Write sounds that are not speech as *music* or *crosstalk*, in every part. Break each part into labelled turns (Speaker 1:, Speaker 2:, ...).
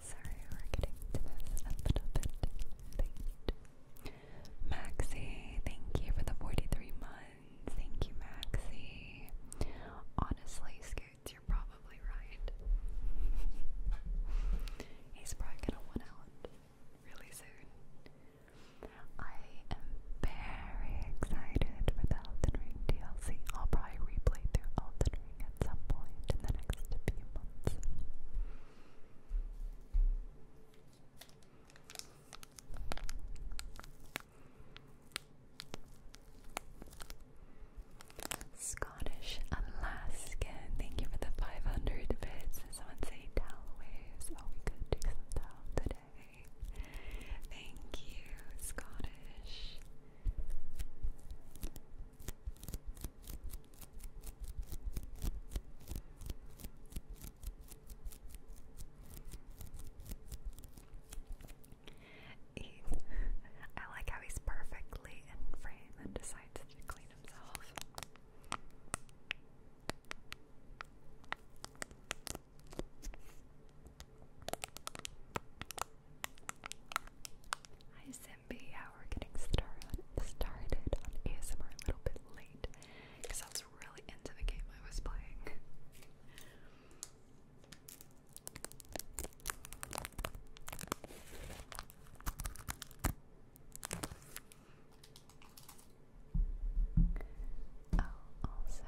Speaker 1: Sorry, we're getting to this a little bit late. Maxie, thank you for the 43 months. Thank you, Maxie. Honestly, Scoots, you're probably right. *laughs* He's probably gonna one out really soon. I am very excited for the Elden Ring DLC. I'll probably replay through Elden Ring at some point in the next few months. Scottish Alaskan, thank you for the 500 bits. Someone say towel Oh, we could take some towel today. Thank you, Scottish. He, I like how he's perfectly in frame and decides to clean himself. Hi Zimby, yeah, we're getting started started on ASMR a little bit late because I was really into the game I was playing. Oh, also,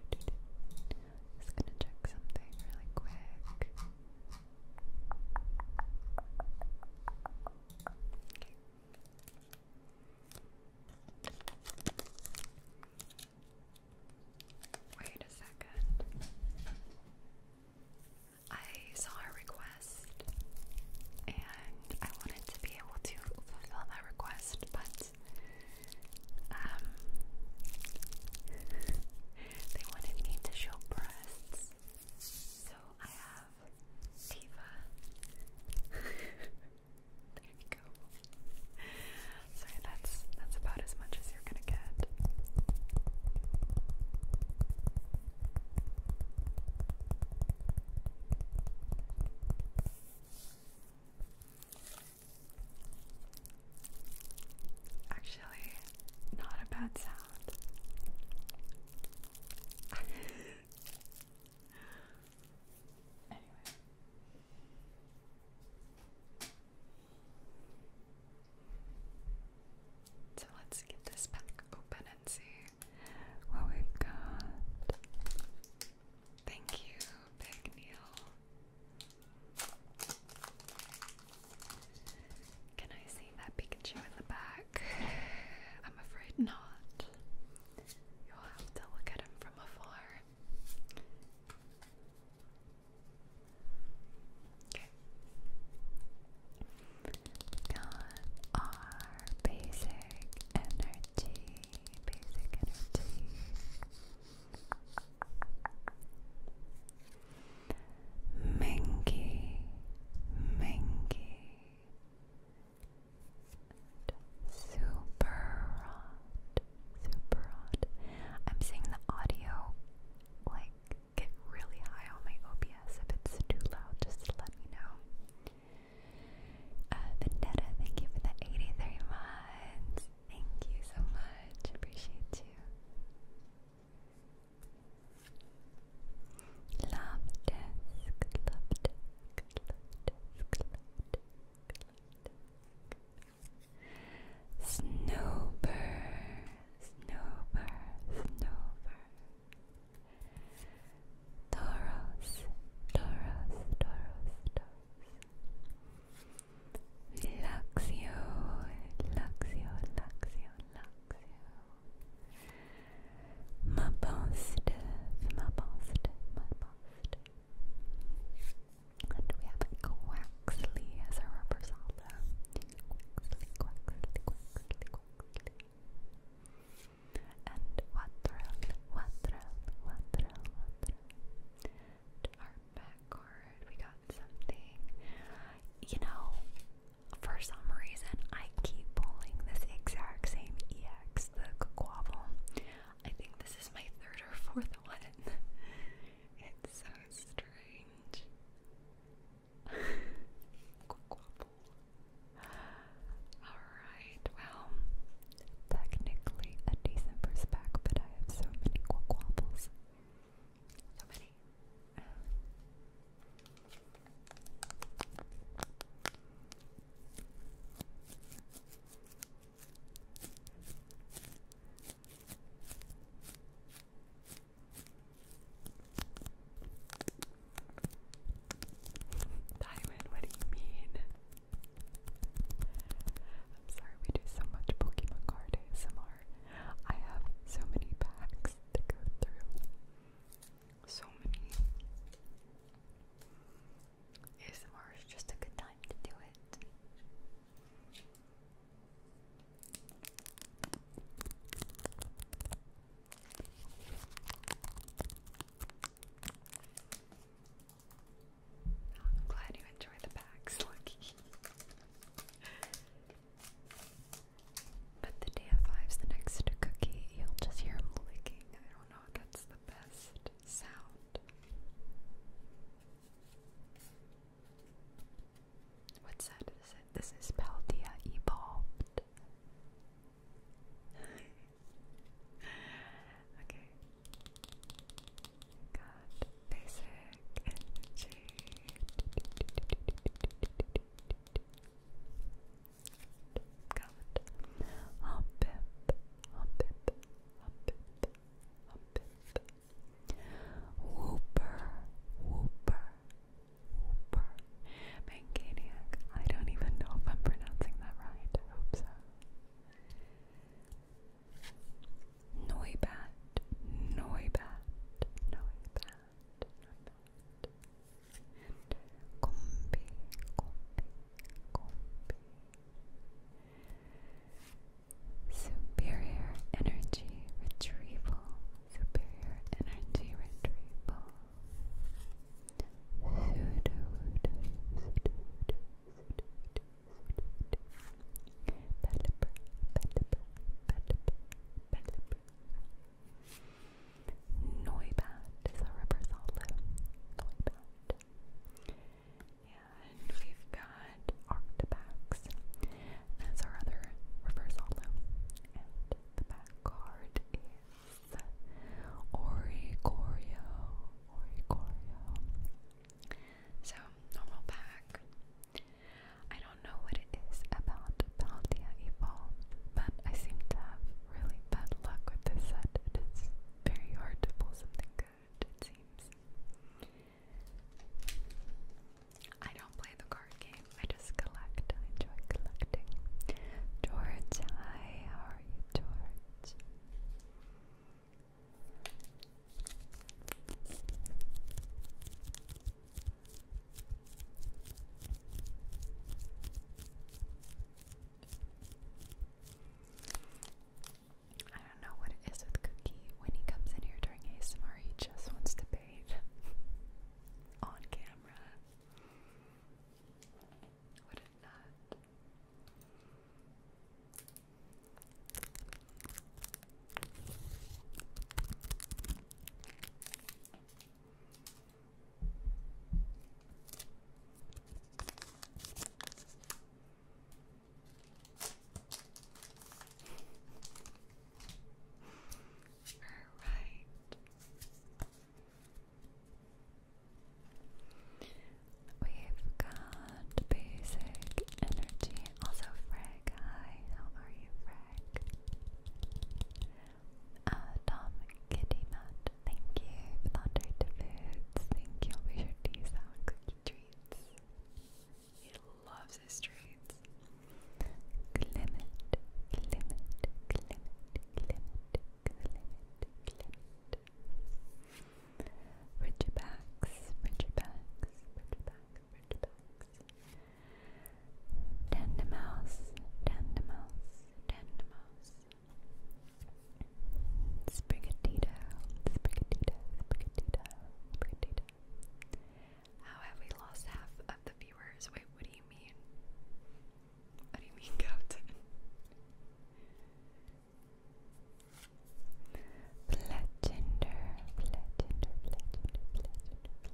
Speaker 1: just gonna check something really quick. Wait a second. I saw a request request, and I wanted to be able to fulfill that request, but um, they wanted me to show breasts, so I have Diva. *laughs* there you go. Sorry, that's that's about as much as you're gonna get. Actually, not a bad sound.
Speaker 2: *laughs* anyway. So let's get this back
Speaker 1: open and see what we've got. Thank you, Big Neil. Can I see that Pikachu in the back? I'm afraid not. You'll have to look at him from afar. Okay got our basic energy, basic energy. Minky, Minky, super hot, super hot. I'm seeing the audio like get really high on my OBS. If it's too loud, just let me know. Uh, Vendetta, thank you for the 83 months. Thank you so much. Appreciate you. Love desk, love desk, love desk, love desk, love desk. Snowbird, snowbird, snowbird. Tauros, Tauros, Tauros, Tauros. Luxio, Luxio, Luxio, Luxio. Ma positive, ma positive, ma positive. And we have Quaxley as our rubber solda. Quaxley, Quaxley, Quaxley, Quaxley and Watrel, Watrel, Watrel, Watrel. To our backcourt, we got something. You know, for some reason, I keep pulling this exact same EX, the Quavel. I think this is my third or fourth *laughs* one. it's so strange. *laughs* Alright, well, technically a decent first pack, but I have so many quack So many. Diamond, what do you mean? I'm sorry, we do so much Pokemon card ASMR. I have so many packs to go through. So many. ASMR is just a good time to do it. I'm glad you enjoy the packs, but the day of five's the next cookie. You'll just hear him licking. I don't know if that's the best sound. What set it? This is Paldea Evolved. *laughs* okay. Got basic energy. Got hop pip, hop pip, hop Whooper, whooper, whooper, Mancaniac. I don't even know if I'm pronouncing that right. hope so. Noibat. Noibat. Noibat. Noibat. And Combi. Combi. Superior energy retrieval. Superior energy retrieval. Noibat is a rubber solid. And we've got Arctabax as our other reverse hollow. And the back card is Oricorio, Oricorio. So, normal pack. I don't know what it is about Paldea Evolved, but I seem to have really bad luck with this set. It is very hard to pull something good, it seems. I don't play the card game, I just collect. I enjoy collecting. George, hi, how are you George. I don't know what it is with Cookie. When he comes in here during ASMR, he just wants to bathe *laughs* on camera that. All right. We've got basic energy. Also, Frag, how are you, Frag? Uh, Tom Kitty Matt, thank you for the hundred Thank you. I'll be sure Cookie treats. He loves his treats. Clement, Clement, Clement, Clement, Clement, Clement. Ridgebacks, Ridgebacks, Ridgebacks, Ridgebacks. Tandemous, Tandemous, Tandemous. Sprigatito, Sprigatito, Sprigatito, Sprigatito. How have we lost half of the viewers? Wait, what do you mean? What do you Legender, legender, legender, legender,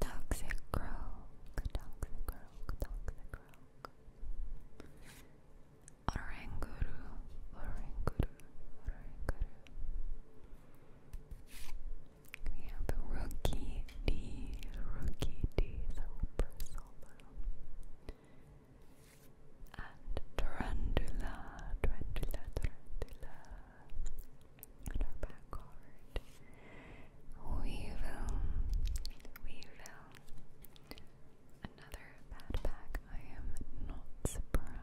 Speaker 1: Toxic Rogue, Toxic Rogue, Toxic Rogue. Oranguru, Oranguru, Oranguru. We have Rookie D. Rookie D is a And Tarantula. Tarantula, Tarantula. And our back card. Weevil. Weevil. Another bad pack. I am not surprised. *laughs*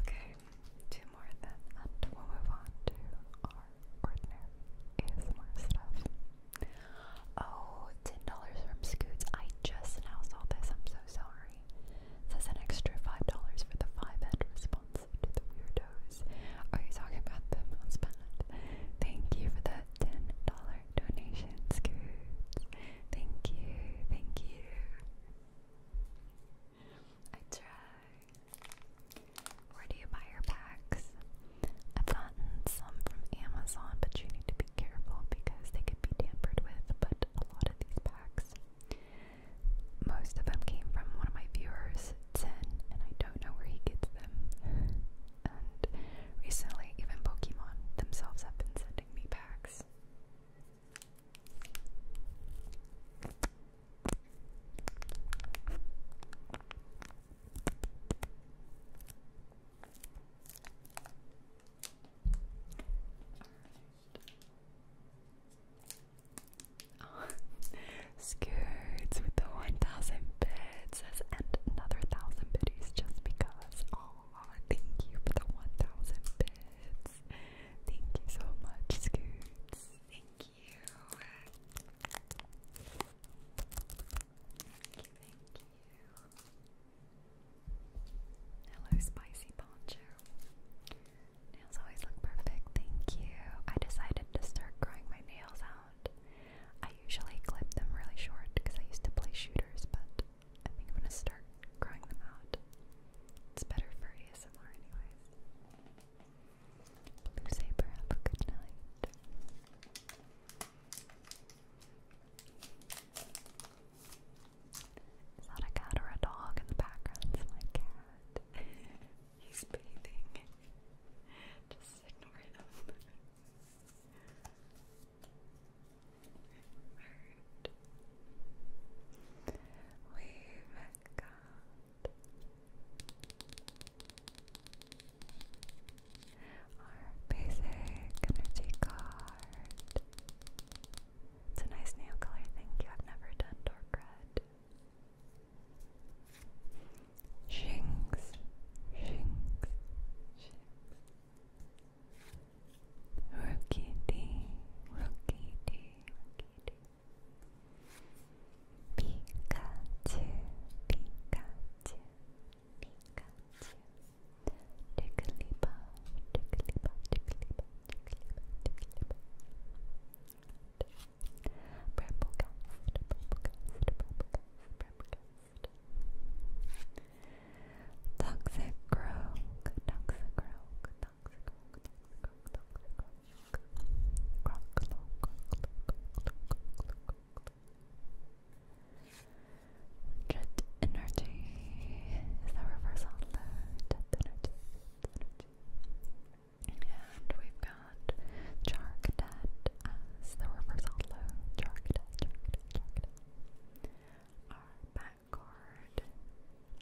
Speaker 1: Okay, two more of them, we'll move on to our ordinary ASMR stuff. Oh, 10 from Scoots. I just now saw this. I'm so sorry. It an extra $5 for the 5-head response to the weirdos. Are oh, you talking about the mouse pad? Thank you for the $10 donation, Scoots. Thank you. Thank you. I try. Where do you buy your packs? I've gotten some from Amazon, but you need to be careful because they could be tampered with. But a lot of these packs, most of them came from one of my viewers, Ten, and I don't know where he gets them. And recently, even Pokemon themselves have been sending me packs. Oh, *laughs* with the 1,000 bits and another 1,000 biddies just because. Oh, thank you for the 1,000 bits. Thank you so much, Skirts. Thank you. Thank you, thank you. Hello, Spicy Poncho. Nails always look perfect, thank you. I decided to start growing my nails out. I usually clip them really short because I used to play shooters, but I think I'm gonna start growing them out. It's better for ASMR, anyways. Blue Saber, have a good night. Is that a cat or a dog in the background? It's my cat. *laughs* He's bathing. *laughs* Just ignore him. *laughs* We've got our basic energy card. It's a nice nail color, thank you. have never done dark red. Shinx, shinx, shinx. Rookie D, rookie Pikachu, Pikachu, Pikachu. Ticklepuff, ticklepuff, ticklepuff, ticklepuff, ticklepuff. Purple cast, purple cast, purple cast, purple cast. Toxic Grog, Toxic Grog, Toxic Grog, Toxic Grog, Toxic Grog, Jet energy is the reverse on And we've got Charcadet as the reverse outlaw. Charcadet, Charcadet, Charcadet. Our back card,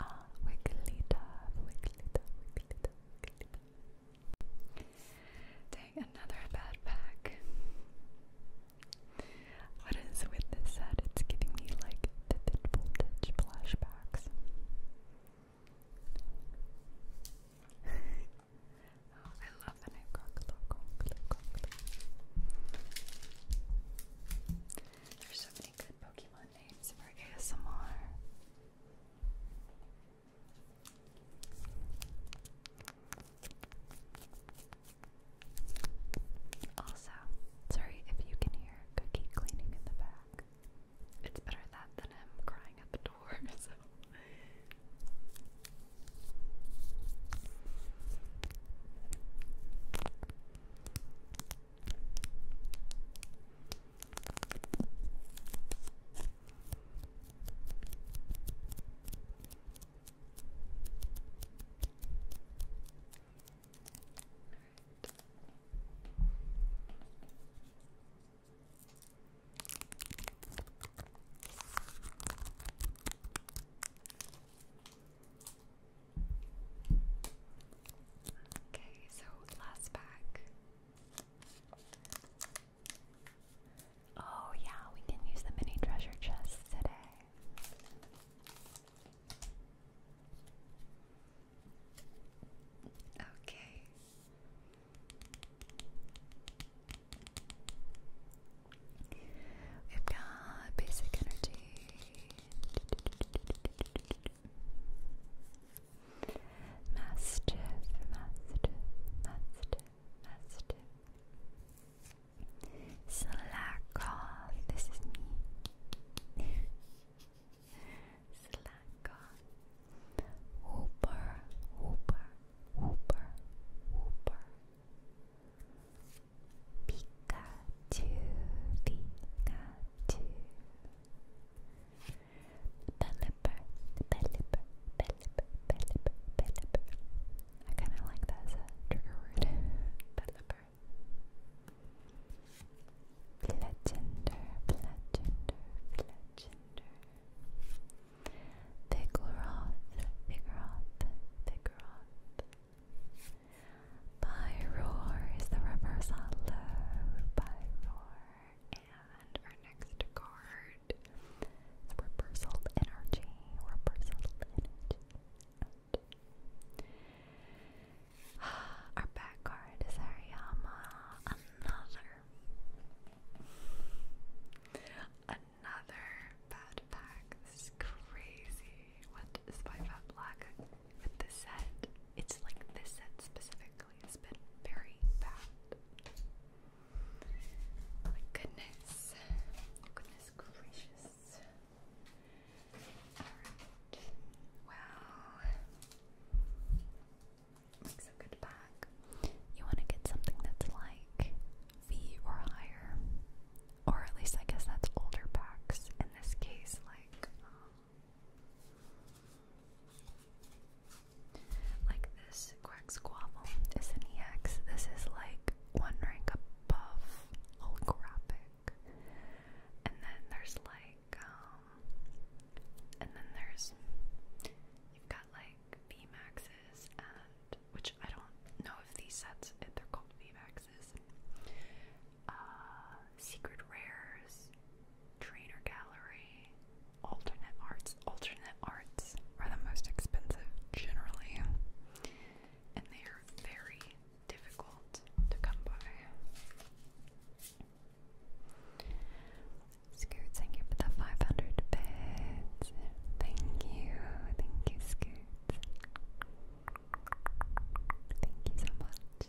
Speaker 1: uh, Wigglyta, Wigglyta, Wigglyta, Wigglyta, Dang, another bad pack. What is with this set? It's giving me like the flashbacks. *laughs* Oh, I love the new There's so many good Pokemon names for ASMR. Also, sorry if you can hear Cookie cleaning in the back. It's better that than him crying at the door, *laughs* Okay, so last pack Oh, yeah, we can use the mini treasure chests today. Okay. We've got basic energy. Mastiff, Mastiff, Mastiff, Mastiff. Slack this is me. Slack off. Whooper, whooper, whooper, Pikachu, Pikachu. Pelipper, Pelipper, Pelipper, Pelipper, Pelipper. I kind of like that as a trigger word. Pelipper. Fletchender, Fletchender, Fletchender. Vigoroth, Vigoroth, Vigoroth. By is the reverse on low. By and our next card Reversal Energy. Reversal Energy. Our back card is Hariyama. Another. Another bad pack. This is crazy. What is my fat black with this set? It's like this set specifically has been very bad. My goodness. Goodness gracious. Alright. Well, a good bag. You want to get something that's like V or higher. Or at least I guess that's older packs. In this case, like um, like this Quack Squabble is an EX. This is like one rank above Holographic. And then there's like, um, and then there's, you've got like VMAXs and, which I don't know if these sets, if they're called VMAXs. Uh, Secret Rares, trainer gallery, alternate arts. Alternate arts are the most expensive generally, and they are very difficult to come by. Scoot, thank you for the 500 bits. Thank you, thank you, Scoot. Thank you so much.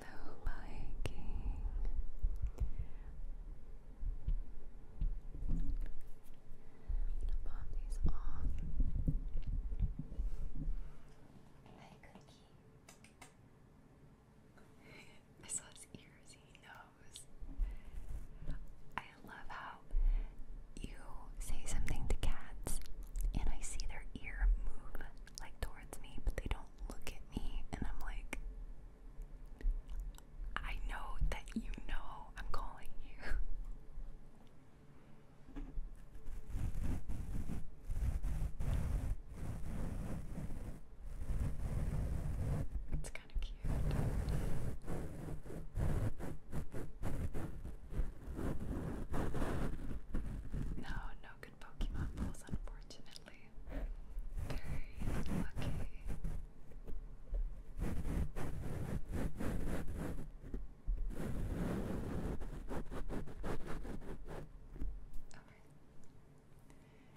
Speaker 1: Hello, Viking. I'm gonna *laughs* pop these I saw his ears. He knows. I love how you say something to cats and I see their ear move like towards me, but they don't look at me, and I'm like, I know that you know I'm calling you. *laughs* kind of cute. No, no good Pokemon balls, unfortunately. Very lucky. Okay.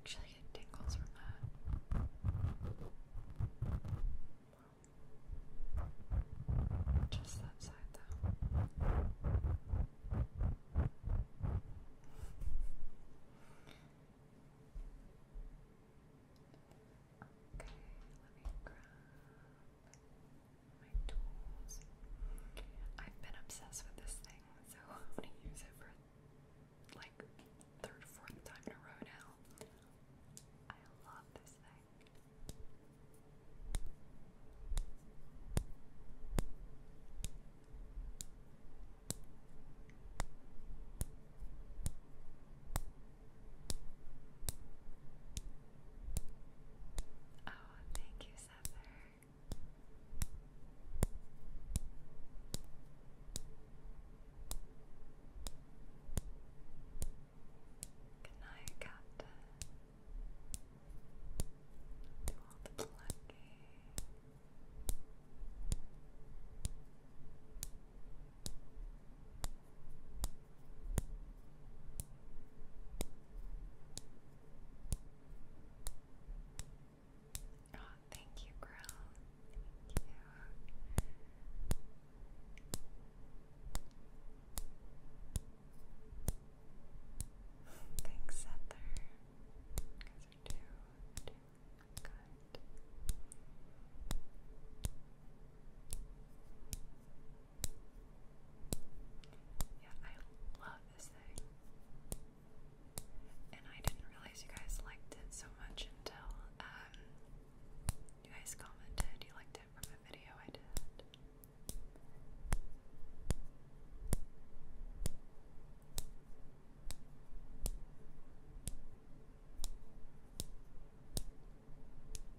Speaker 1: Actually, I get tingles from that. Just that side, though. Okay, let me grab my tools. I've been obsessed with this thing, so *laughs* I'm gonna use it for like third, fourth time in a row now. I love this thing. Oh, thank you, Suffer. Good night, Captain. Do all the plucking. Oh, thank you, girl. Thank you. Thanks, Settler. Because I do, I do. Good. Yeah, I love this thing. And I didn't realize you guys liked it so much until um, you guys commented you liked it from a video I did.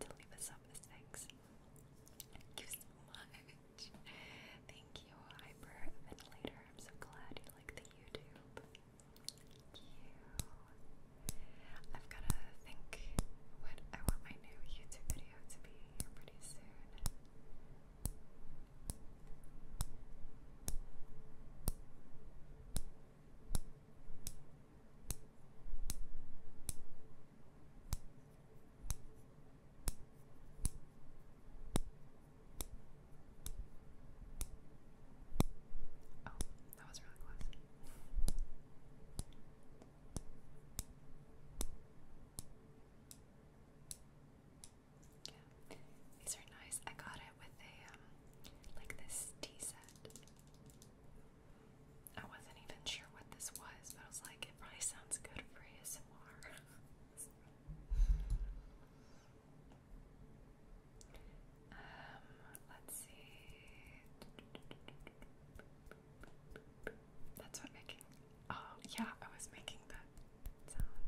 Speaker 1: to leave us up as thanks. Thank you so much. Thank you, Hyperventilator. I'm so glad you like the YouTube. Thank you. I've gotta think what I want my new YouTube video to be pretty soon. Oh, that these are nice. I got it with a um, like this tea set. I wasn't even sure what this was, but I was like, it probably sounds good for ASMR. um, let's see. That's what making. Oh, yeah, I was making that sound.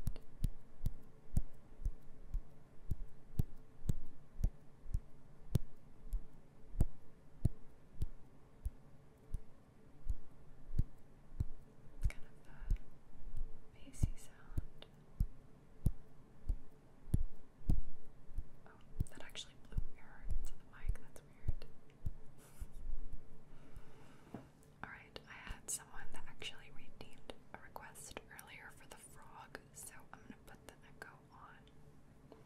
Speaker 1: It's kind of a bassy sound. Oh, that actually blew air into the mic. That's weird. Alright, I had someone that actually redeemed a request earlier for the frog, so I'm gonna put the echo on.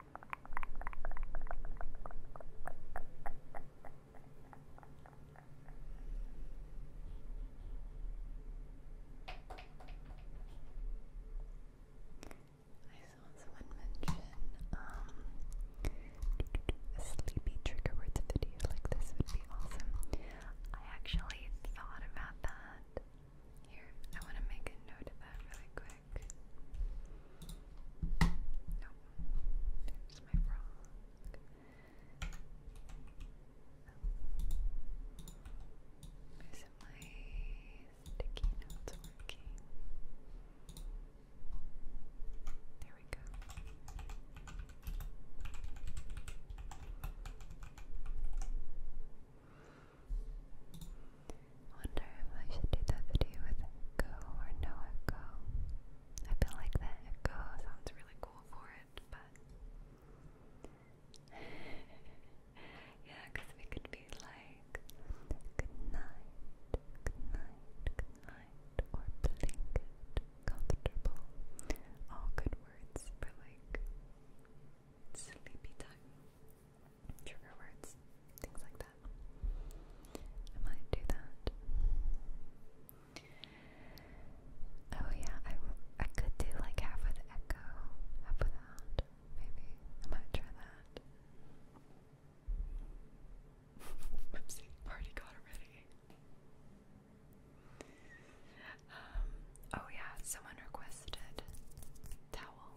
Speaker 1: I saw someone mention um, a sleepy trigger words video like this would be awesome. I actually thought about that here, I want to make a note of that really quick. No, there's my frog. Oh. Isn't my notes working? There we go. Wonder if I should do that video with echo or no echo. I feel like that echo sounds really cool for it, but *laughs* yeah, we could be like good night, good or blanket, comfortable. All good words for like sleepy time trigger words, things like that. I might do that. Oh yeah, I, I could do like half with echo, half without. Maybe I might try that. *laughs* Whoopsie, party got already. Um, oh yeah, someone requested towel.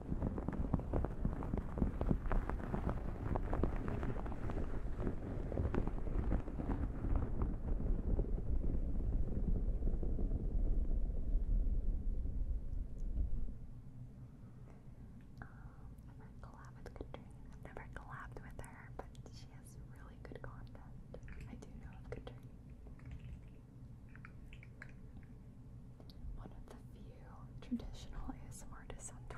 Speaker 1: never collab with Katrina. I've never collabed with her, but she has really good content. I do know of Katrina one of the few traditional ASM artists on Twitter.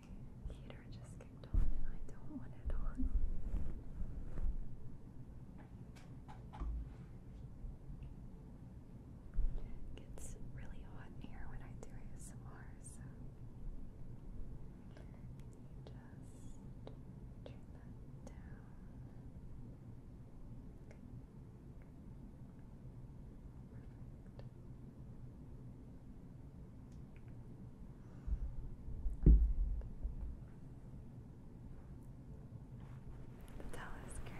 Speaker 1: heater just kicked on and I don't want it on. gets really hot in here when I do ASMR, so just turn that down. Perfect. The towel is great.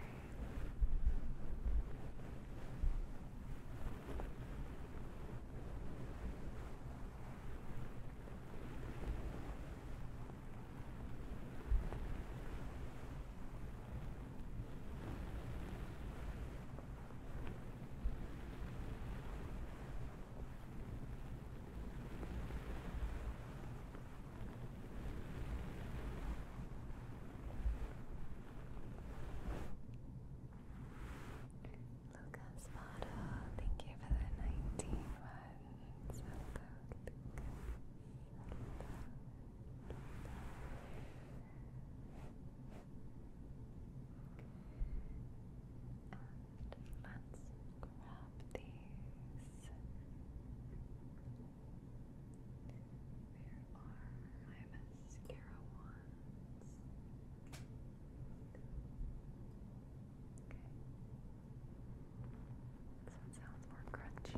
Speaker 1: Lucas Bottle, thank you for the 19 months. Hello, and let's grab these. There are my mascara ones. Okay. This one sounds more crunchy.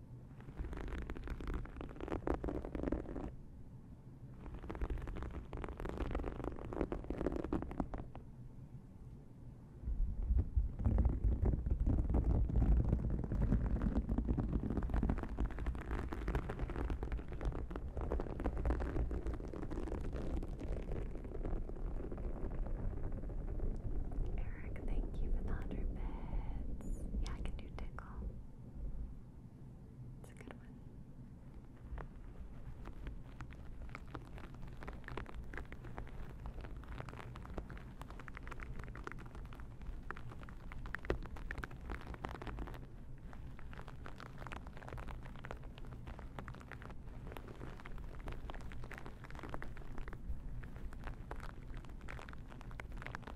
Speaker 1: Eric, thank you for the 100 bits. Yeah, I can do tickles well. It's a good one.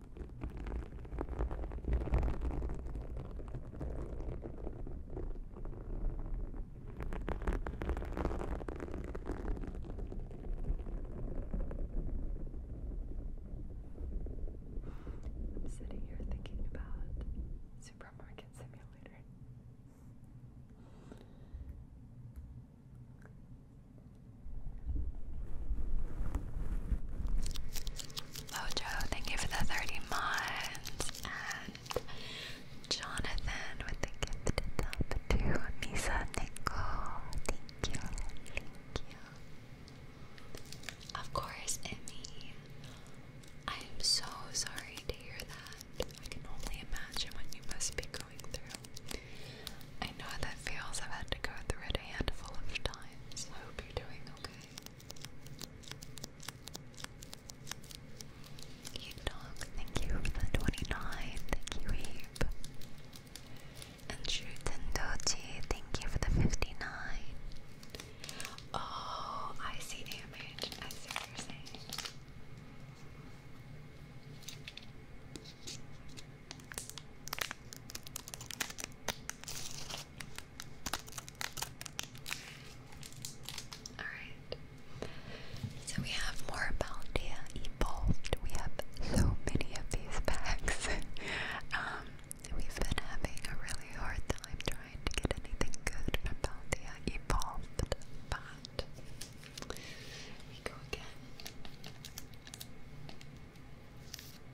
Speaker 1: I'm sitting here thinking about Supermarket Simulator. Mojo, thank you for the 30 months. And Jonathan with the gift to Misa Nicole. Thank you. Thank you. Of course, Emmy. I am so sorry to hear that. I can only imagine what you must be going through. I know how that feels. I've had to go through it a handful of times you're thank you for the 29. Thank you, Heap. And Shuten Doji, thank you for the 59. Oh, I see damage. I see Alright. So we have more Baldia evolved. We have so many of these packs. *laughs* Um, we've been having a really hard time trying to get anything good from Baldia evolved, but we go again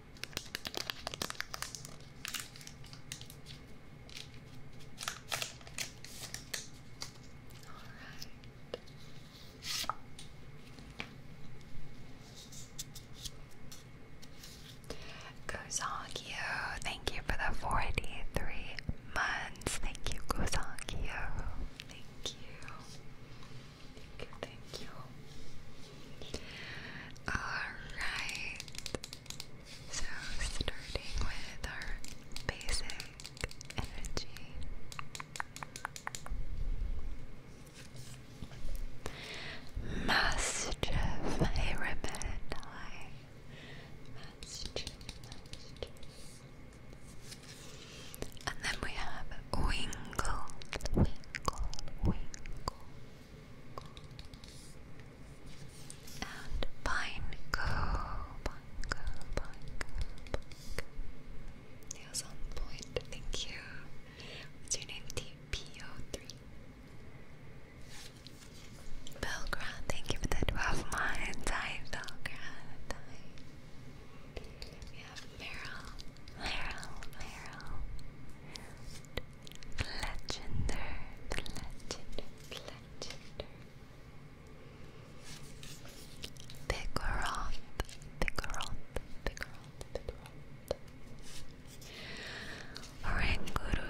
Speaker 1: right. thank you for the 43 months. Thank you, Gozongyu. Thank you. Thank you, thank you. Alright. So, starting with our basic energy. Mastiff, hey And then we have Wingle, Wingle, Wingle. And Pineco, Nails on point, thank you. What's your name? TPO3. Belgrad, thank you for the 12 months. Belgrad. Hi. Meryl. Laryl, Laryl. Legender, legender, legender. Vigoroth, Vigoroth, Vigoroth, Vigoroth. Oranguru,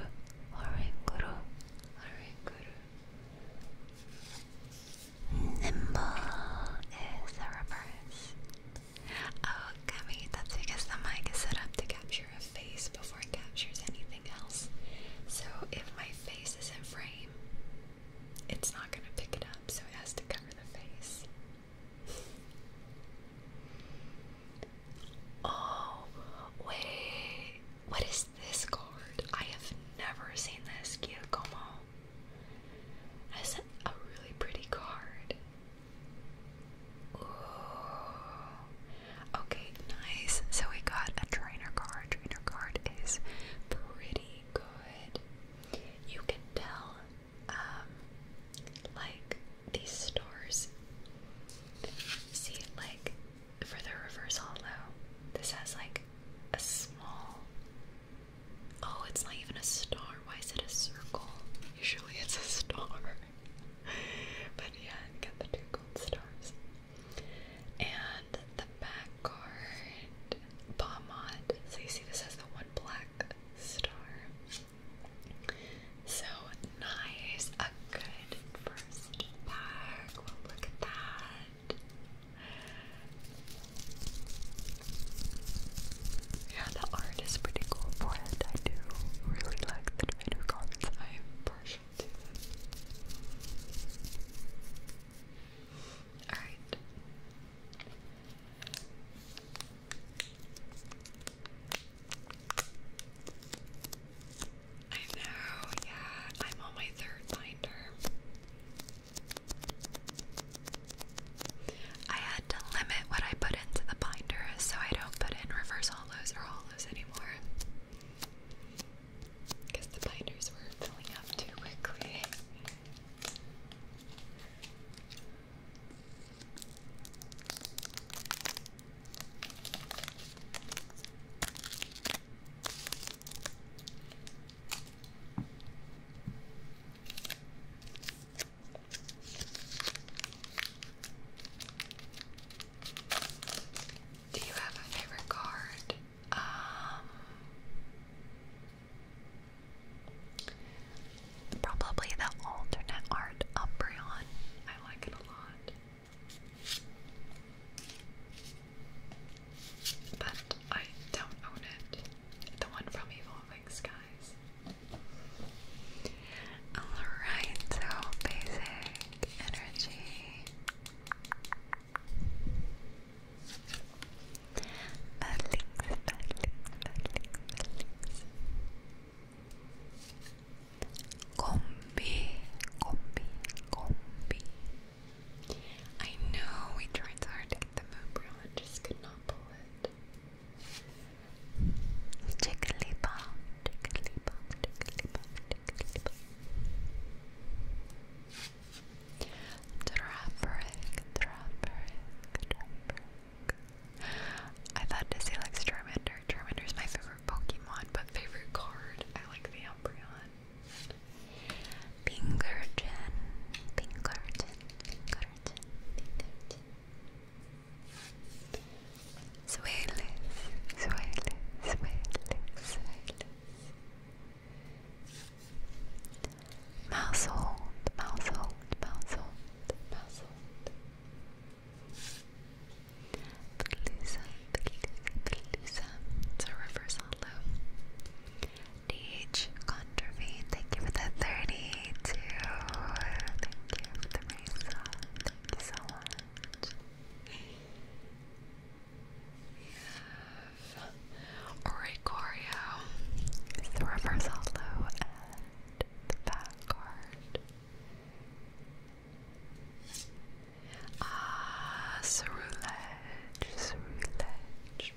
Speaker 1: Oranguru, Oranguru. Nimble is a reverse. Oh, Gummy, that's because the mic is set up to capture a face before it captures anything else. So if my face is in frame, it's not going to pick it up, so it has to cover the face. oh, wait. What is this card? I have never seen this. Giacomo. That's a really pretty card. Okay, nice. So we got a trainer card. Trainer card is pretty good. You can tell, um, like these stars. See, like for the reverse hollow, this has like a small. Oh, it's not even a star. Why is it a circle? Usually it's a star. but yeah, got the two gold stars. And the back card, Bombmod. So you see this has the one black star. So nice. A good first pack. look at that. Yeah, the art is pretty cool for I do really like the tomato cards. I am partial to Alright. I know, yeah, I'm on my third binder. I had to limit what I put into the binder so I don't put in reverse hollows or hollows anymore. Because the binders were filling up too quickly. Do you have a favorite card? Um, probably the alternate art Umbreon. I like it a lot. But I don't own it. The one from Evolving Skies. Alright, so basic energy. Buildings, buildings, buildings, buildings. Combi, combi, combi. I know we tried so hard to get the moon and just could not pull it. Jigglypuff, Jigglypuff, Jigglypuff, Jigglypuff. Droperic, Droperic, Droperic. I thought Dizzy likes Charmander. Charmander's my favorite Pokemon, but favorite card. I like the Umbreon. Pinkerton, Pinkerton, Pinkerton, Pinkerton. Suele,
Speaker 2: suele, suele, suele. Mousehold, mousehold,
Speaker 1: mousehold, mousehold. Pelusa, Pelusa, Pelusa. It's a reverse hollow. DH Contravene, thank you for the 32. Thank you for the so thank you so much. it's the reverse hollow the back card. Ah, Cerulege, Cerulege.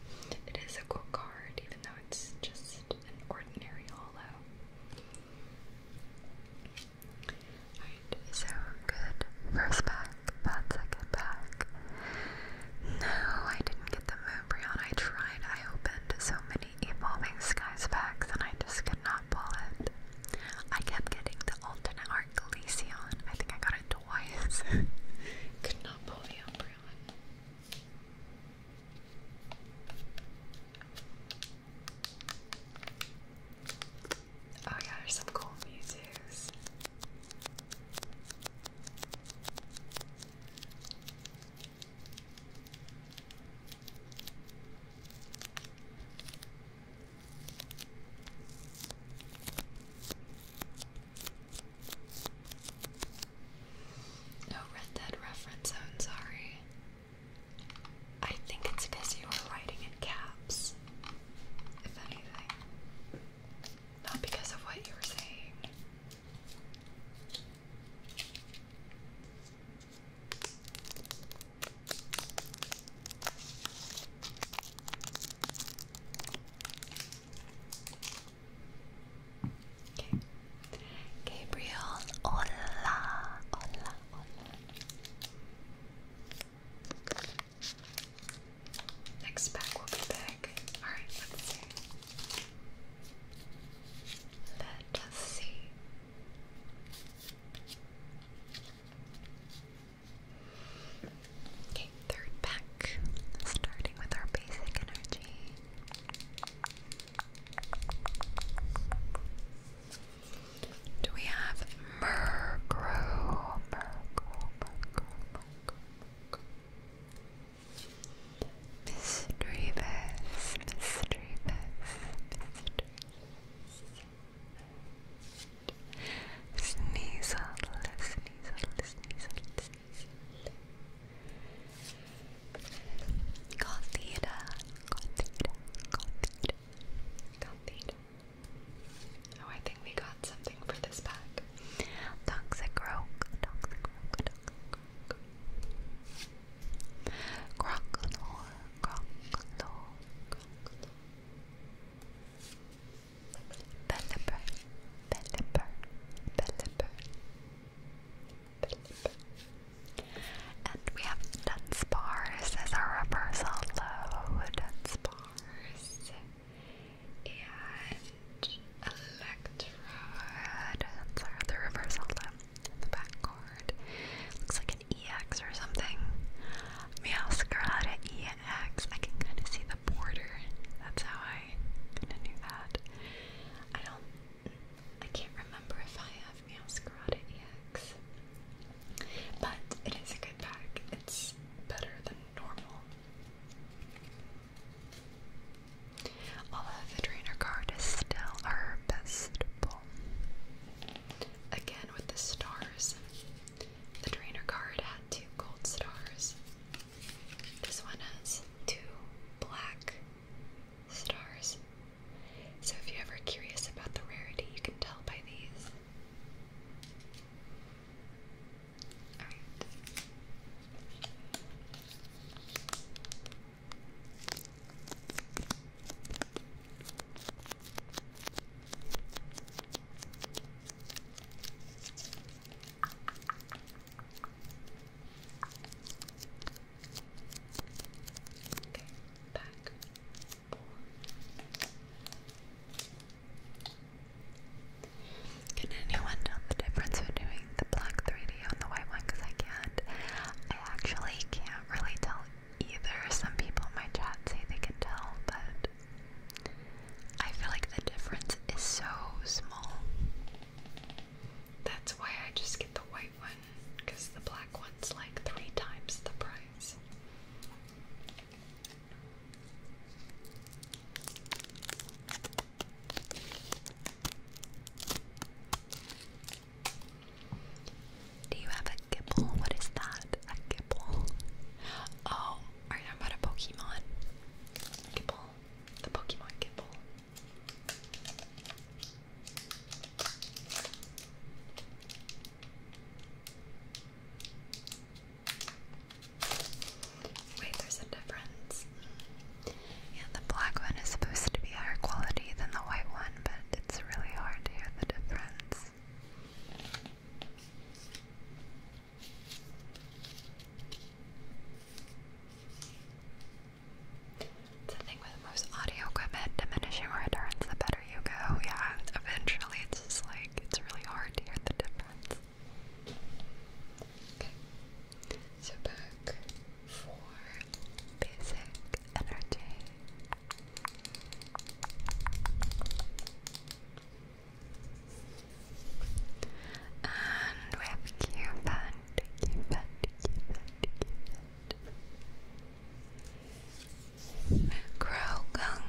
Speaker 1: It is a cool card, even though it's just an ordinary hollow. Alright, so good first pack, bad second pack. No, I didn't get the Moonbryon. I tried, I opened so many Evolving Skies packs and I just could not pull it. I kept getting the alternate art Glaceon. I think I got it twice. *laughs* could not pull the Umbreon. Oh yeah, there's some cool Mewtwo's. No Red Dead reference, I'm sorry. I think it's because you were writing in caps, if anything. Not because of what you were saying. Okay. Gabriel, hola, hola, hola. Next pack will be big. Alright, Let us see. Okay, third pack, starting with our basic energy. Do we have Murkrow? Murkrow, Murkrow, Murkrow, Miss Drevis, Miss Drevis, Miss Sneasel, Sneasel, Sneasel, Sneasel. Cos theta, cos theta, cos theta, cos theta. Oh, I think we got something for this pack. Toxic rogue, toxic rogue, toxic rogue. Crocodile, crocodile, crocodile. Belliper, belliper, belliper. And we have dense bars as our reversal low, dense and electrode, that's our other reversal low the back cord Looks like an EX or something. Meowscarada EX. I can kind of see the border. That's how I kind of knew that. I don't I can't remember if I have Meowscarada EX, but it is a good pack. It's better than normal. Although the trainer card still our best Again with the stars, the trainer card had two gold stars. This one has two black stars. So if you're ever curious about the rarity, you can tell by these. Can anyone tell the difference between the black 3D and the white one? Because I can't. I actually can't really tell either. Some people in my chat say they can tell, but I feel like the difference is so small. That's why I just get the white one, because the black one's like three times the price. Do you have a Gibble? What is that? A Gibble? Oh, are you talking about a Pokemon? Gibble. The Pokemon Gibble. Wait, there's a difference. Yeah, the black one is supposed to be higher quality than the white one, but it's really hard to hear the difference. It's the thing with most audio equipment, diminishing returns the better you go. Yeah, eventually it's just like it's really hard to hear the difference. Okay. So back for basic energy. And we have Cupid, Cupid, Cupid, Cupid. Krogang,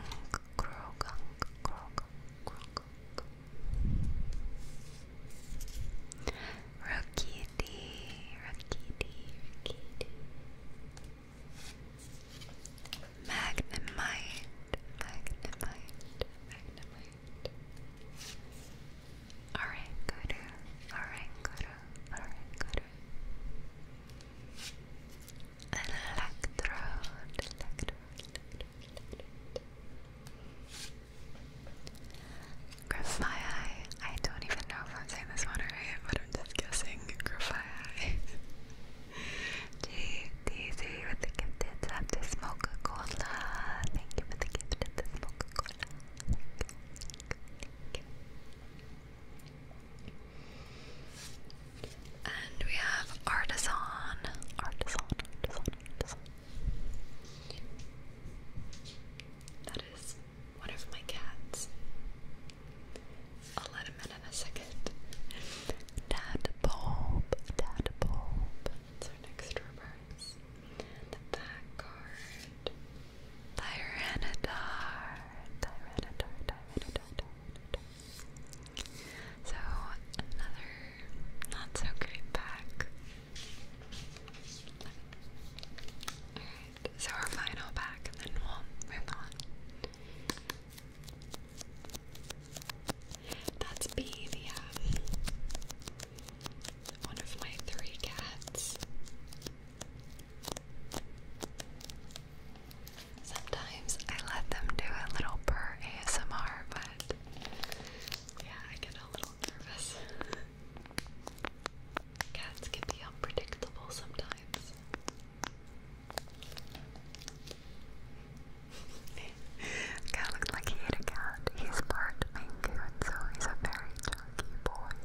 Speaker 1: Krogang, Krogang, Krogang. Rakiti, Rakiti, Rakiti. Magnemite, Magnemite, Magnemite. Alright, good. Alright, good. Alright, good. Electrode, electrode, electrode, electrode. Grafii. I don't even know if I'm saying this one right, but I'm just guessing. Grafii. *laughs* G, with the gifted sub to smoke a cola. Thank you for the gifted to smoke a cola. Thank you. And we have artisan, artisan, artisan, artisan. That is one of my cats. I'll let him in in a second. Tadpole, tadpole. That's our next reverse. The back card. Tyranitar, Tyranitar, Tyranitar, Tyranitar. So another not so great pack. Alright, so our final pack and then we'll move on. That's B, the um, one of my three cats. Sometimes I let them do a little purr ASMR, but yeah, I get a little nervous. Cats can be unpredictable sometimes. Guy *laughs* looked like he ate a cat. He's part Maine Coon, so he's a very chunky boy.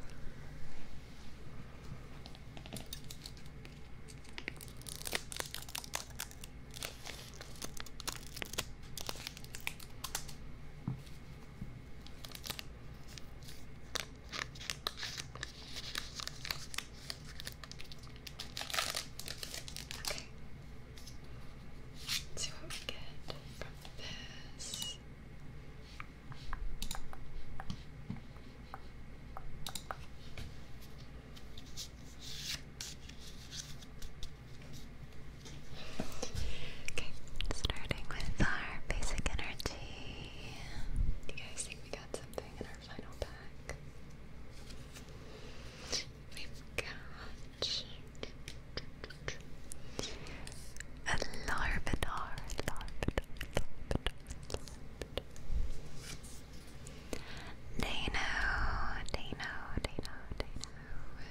Speaker 1: Okay. let see what we get from this. Okay, starting with our basic energy. Do you guys think we got something in our final pack? we got a Larvinar, Larvinar, Larvinar, Dano, Dano, Dano, Dano.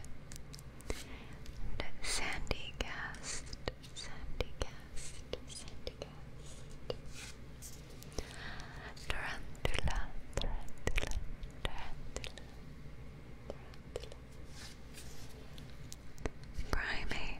Speaker 1: And Sandy Gast, Sandy Gast, Sandy Gast. Tarantula, Tarantula, Tarantula, Tarantula. Primate,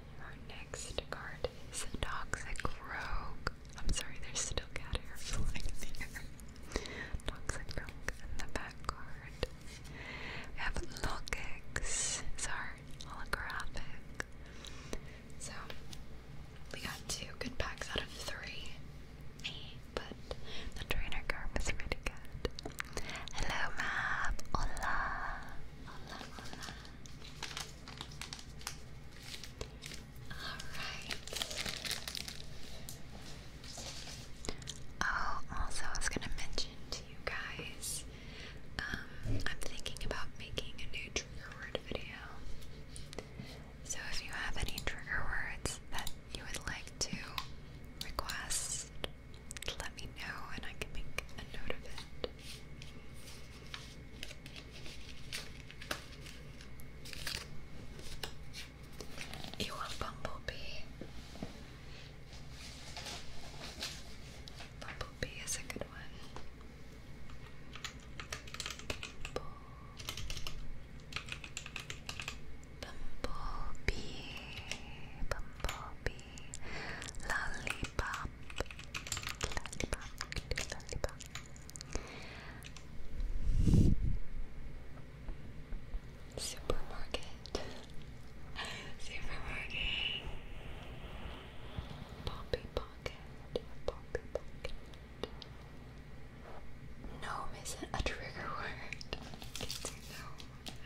Speaker 1: Our next card is a Toxic Rogue. I'm sorry, there's still cat hair flying there. Toxic Rogue and the back card. We have Logix. It's holographic. So we got two good packs out of three. But the trainer card was really good. Hello, Mab. Hola, hola. Alright. Oh, also I was gonna mention to you guys, um, I'm thinking about making a new trigger word video. So if you have any trigger words that you would like to request, let me know and I can make a note of it. You want Bumblebee? Bumblebee is a good one. Bumblebee, Bumblebee, Lollipop lollipop. Lollipop. Supermarket. *laughs* Supermarket. Poppy pocket. Poppy pocket. Gnome isn't a trigger word. no.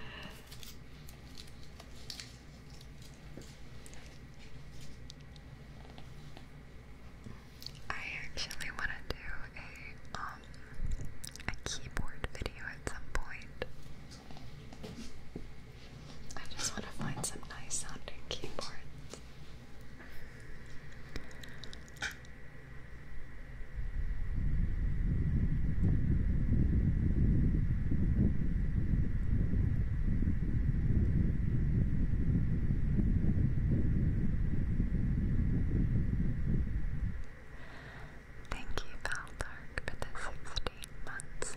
Speaker 1: I actually want to do a um, a keyboard video at some point. I just want to find some nice sounding keyboards. Thank you, Valdark, for the 16 months.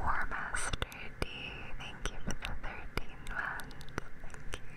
Speaker 1: War Master D, thank you for the 13 months. Thank you.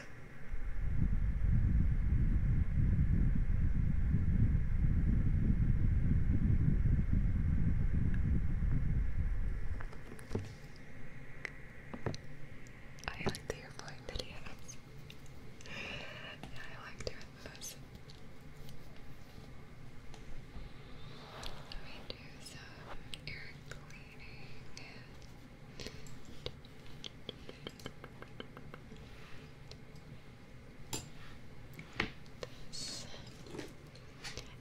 Speaker 1: I like the airplane videos. yeah, I like doing those. Let me do some ear cleaning.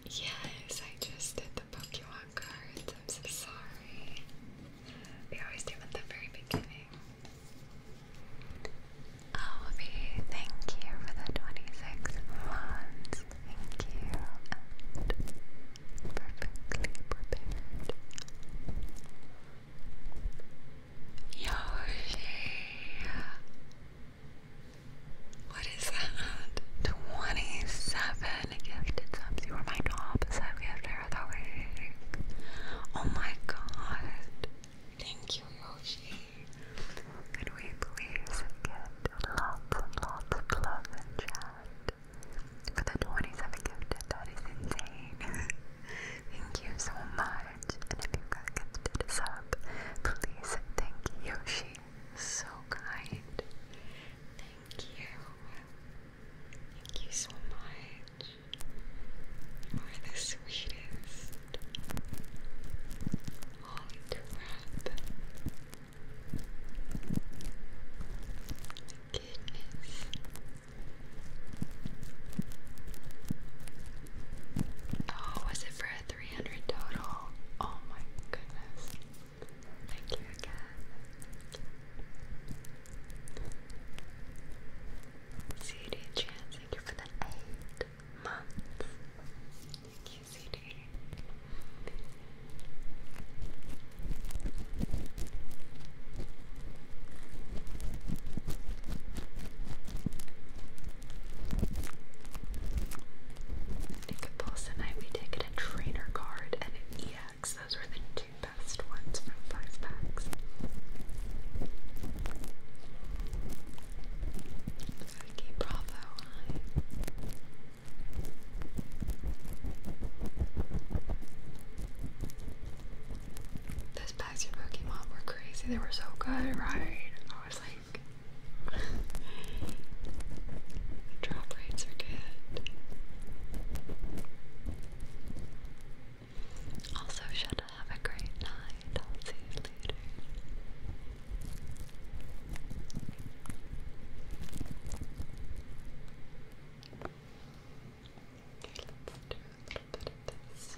Speaker 1: Yes, I just did the Pokemon cards. I'm so sorry. We always do them at the very beginning. Oh, V, thank you for the 26 months. Thank you. perfectly prepared. Yoshi. What is that? 27 gifted subs. You were my top sub of the week. Oh my god. Thank you, Yoshi. Could we please get lots and love and chat? For the 27 gifted, that is insane. *laughs* Thank you so much. And if you got gifted sub, please thank Yoshi. So kind. Thank you. Thank you so much. You are the sweetest. Holy crap. Goodness. Oh, was it for a 300 total? Oh my goodness. Thank you again. CD thank you for the eight months. Thank you, CD. Nick tonight we did get a trainer card and an EX. Those were the two best ones from five packs. Okay, bravo, those packs of Pokemon were crazy. They were so good, right? I was like, *laughs* drop rates are good. Also, shut Have a great night. I'll see you later. Okay, let's do a little bit of this.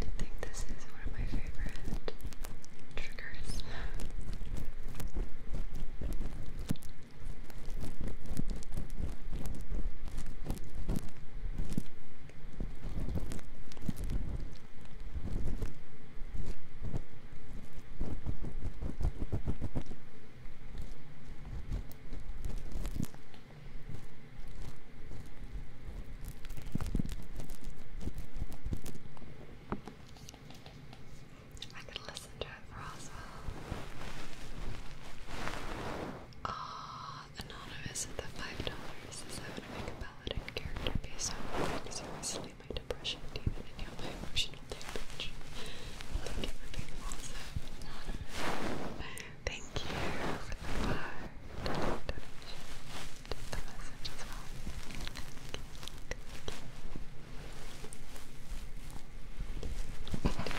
Speaker 1: I think this is one of my favorite triggers. I could listen to it for Roswell. Ah, Anonymous at the $5 says I to make a paladin character based on my seriously my depression demon and my emotional damage. Thank you for being awesome, Anonymous. Thank you for the five dollar the message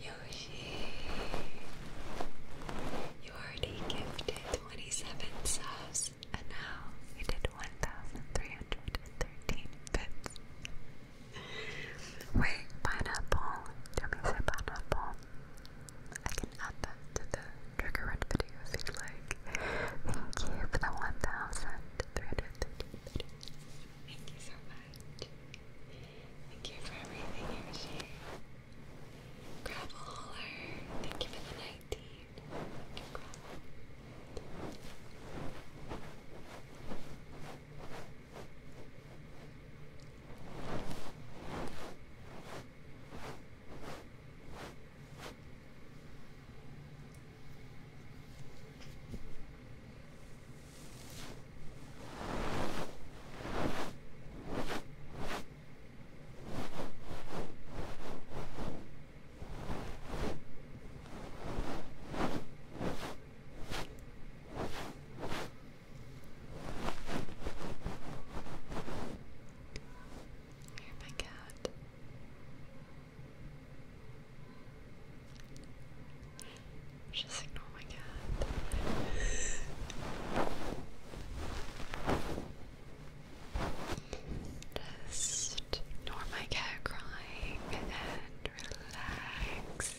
Speaker 1: Yoshi, you already gifted 27 subs, and now you did 1,313 bits. Wait, pineapple. Tell me say pineapple. I can add that to the trigger run video if you'd like. Thank you for the 1,313 bits. Thank you so much. Thank you for everything you share. Gravel Holler, thank you for the 19. Thank I hear my cat. Just ignore my cat. Just ignore my cat crying and relax.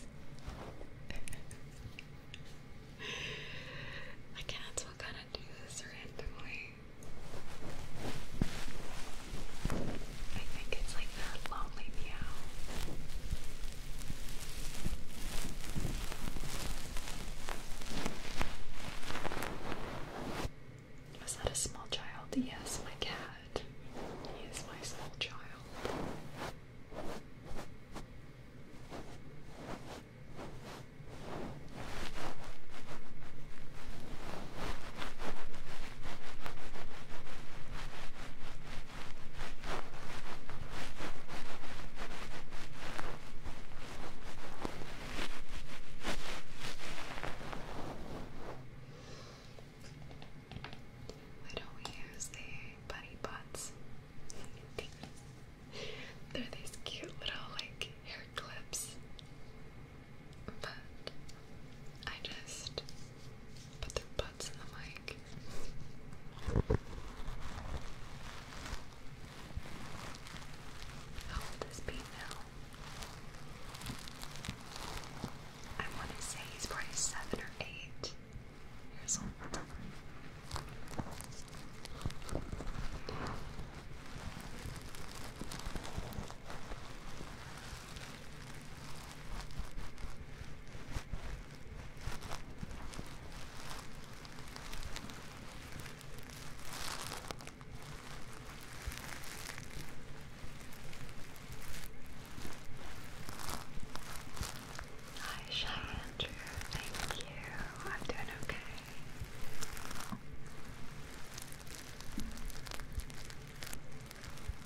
Speaker 1: my cats will kind of do this randomly. I think it's like that lonely meow. Was that a small child? Yes, my cat. He is my small child. Why don't we use the bunny butts? They're these cute little like hair clips. But I just put their butts in the mic. How this be now? I want to say he's probably seven or eight years old. Hi, Shy Andrew. Thank you. I'm doing okay.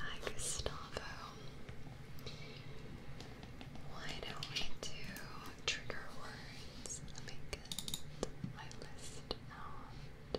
Speaker 1: Hi, Gustavo. Why don't we do trigger words? Let me get my list out.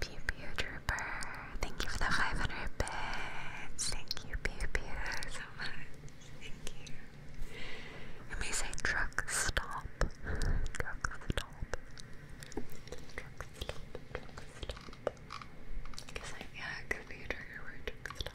Speaker 1: Pew Pew Trooper, thank you for the 500 bits. Thank you, Pew Pew, so much. Thank you. It may say truck stop. Truck stop. Truck stop. Truck stop. yeah, it word. Truck stop.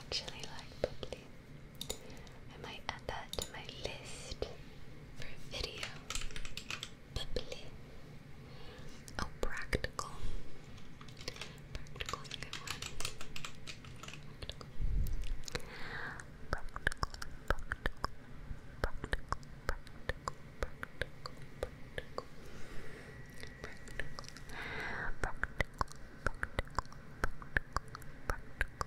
Speaker 1: Actually, like bubbly. I might add that to my list for a video. Bubbly. Oh, practical. Practical is Practical, practical, practical, practical, practical, practical. Practical, practical, practical, practical, practical,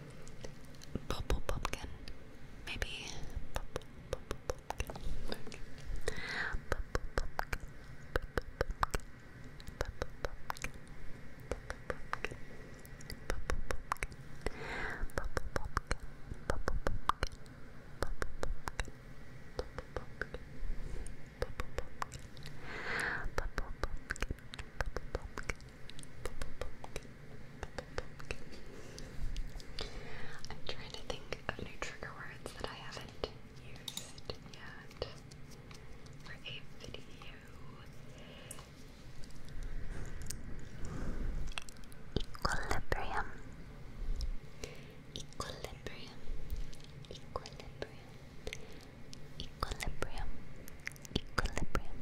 Speaker 1: Purple pumpkin. Maybe. Purple, purple pumpkin. Purple pumpkin. Purple pumpkin. Purple pumpkin. Purple pumpkin. Purple pumpkin. Purple pumpkin. Purple pumpkin. Purple pumpkin. Purple pumpkin. Purple pumpkin. Purple pumpkin. Purple pumpkin. I'm trying to think of new trigger words that I haven't used yet for a video. Equilibrium. Equilibrium. Equilibrium. Equilibrium. Equilibrium.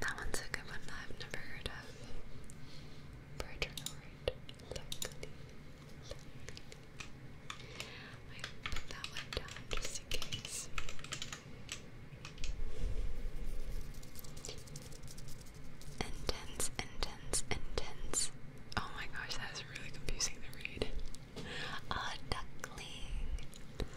Speaker 1: That one's a good one I've never heard of. Pertoroid Luckily. put that one down just in case. Intense, intense, intense. Oh my gosh, that was really confusing to read. A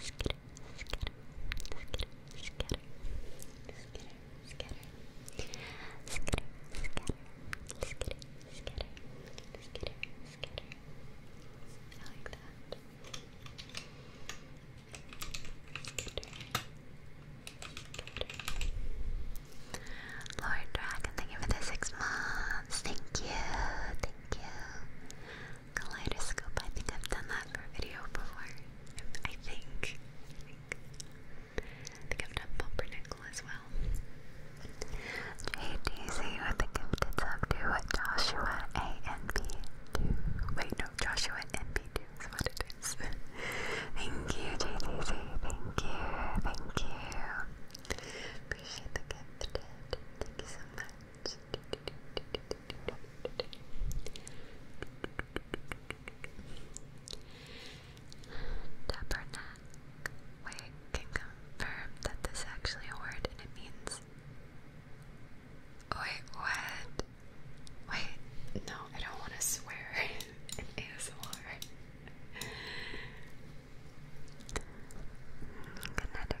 Speaker 1: Skitter, skitter, skitter, skitter, skitter, skitter, skitter, skitter, skitter, skitter, skitter. I like that. Lord Dragon, thank you for the six months. Thank you, thank you. Kaleidoscope. I think I've done that for a video before. I think. I think. I have done pumpernickel as well. JDZ with the gifted sub to Joshua ANB2. Wait, no, Joshua NB2 is what it is. *laughs* thank you, JDZ. Thank you. Thank you. Appreciate the gift. Thank you so much. Tabernacle. Wait, can confirm that this is actually a word and it means. Wait, what? Wait, no, I don't want to swear *laughs* in ASMR. Connecticut,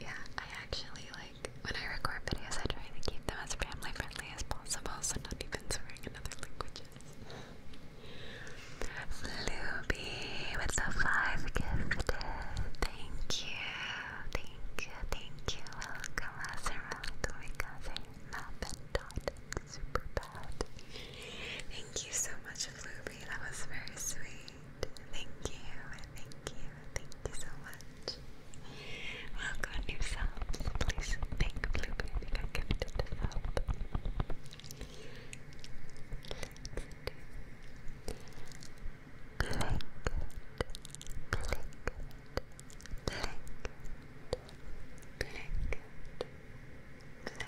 Speaker 1: Yeah, I actually like when I record videos, I try to keep them as family friendly as possible, so not even swearing in other languages. Luby with the five gifted. Thank you, thank you, thank you. Welcome, Lazarus, because I'm not been taught super bad. Thank you so much, Floopy. That was very sweet. Thank you, thank you, thank you so much. Welcome new Please thank Floopy I gifted the sub. Let's do blanket,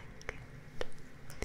Speaker 1: blanket, blanket, blanket, blanket.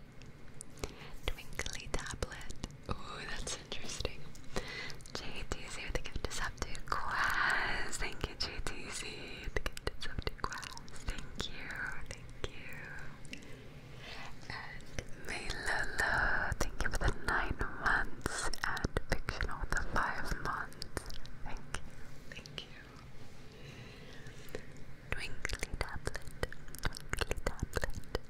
Speaker 1: Twinkly tablet. Oh, that's interesting. JTC with the gift is up to Thank you, JTC. The gift is up to Thank you, thank you. And Maylolo, thank you for the nine months and fictional with the five months. Thank you, thank you. Twinkly tablet, twinkly tablet,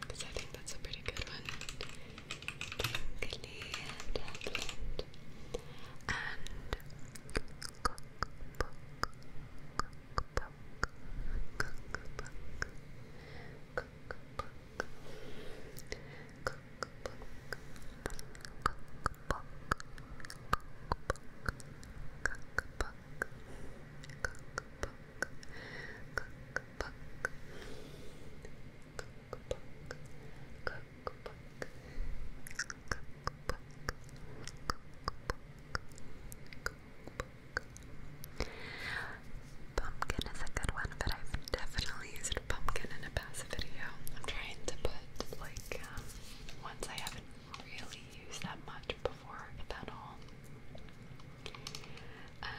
Speaker 1: Because I think that's a pretty good one. Twinkly tablet and cookbook, cookbook, cookbook, cookbook, cookbook, cookbook, cookbook. Cookbook, cookbook, cookbook, cookbook, cookbook, cookbook, Pumpkin is a good one, but I've definitely used pumpkin in a past video. I'm trying to put like um, ones I haven't really used that much before, at all. Um,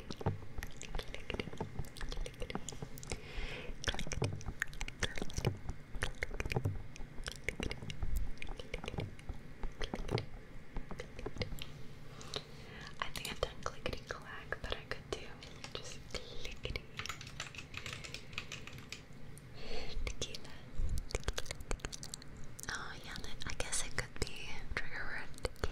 Speaker 1: kitty, kitty, I think I've done clickety clack, but I could do just clickety. Oh yeah, I guess it could be trigger word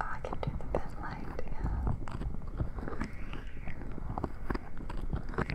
Speaker 2: Oh, I can do the bit light, yeah.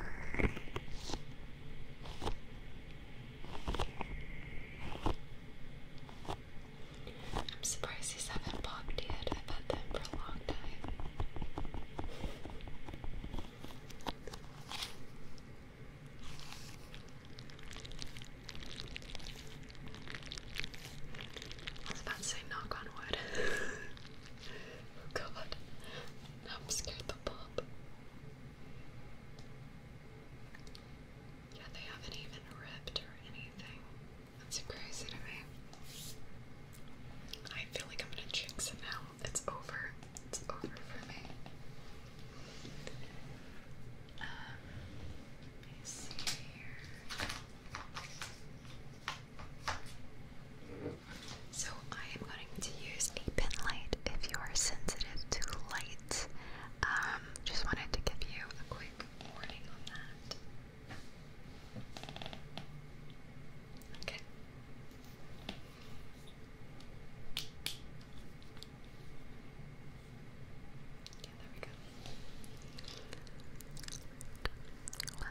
Speaker 1: I'm surprised he's haven't popped yet. I've had them for a long time. I was about to say knock on wood. *laughs* Oh, god. I'm scared the pop. Yeah, they haven't even ripped or anything. That's crazy to me. I feel like I'm gonna jinx it now. It's over. It's over for me. Um, let me see here. So I am going to use a pin light if you are sensitive to light. Um, just wanted to give you a quick warning on that. Okay. Yeah, there we go.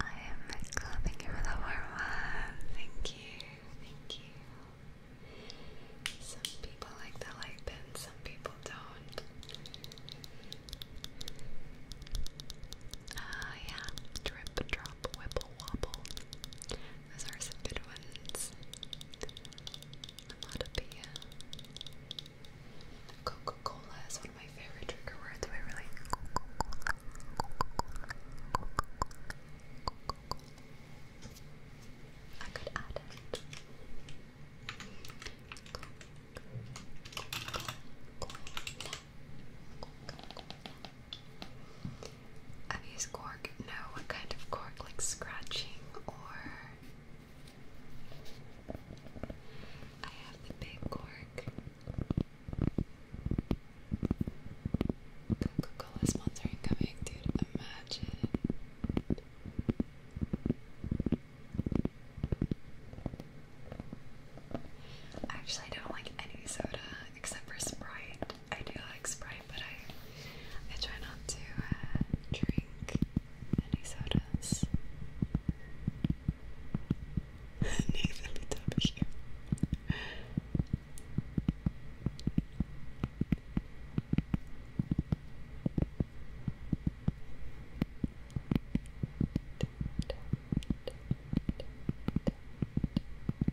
Speaker 1: I am Michael, thank you for the warm one. Thank you, thank you. Some people like the light bin, some people don't. Ah, yeah, drip drop. Wop Wobble. Those are some good ones. Onomatopoeia. Coca-Cola is one of my favorite trigger words. I really I could add it. I've used cork. No, what kind of cork? Like scratching or. I have the big cork. Coca Cola sponsoring coming, dude. Imagine. I don't like any soda except for Sprite. I do like Sprite, but I I try not to uh, drink any sodas. *laughs* Nathan *laughs* W. *laughs*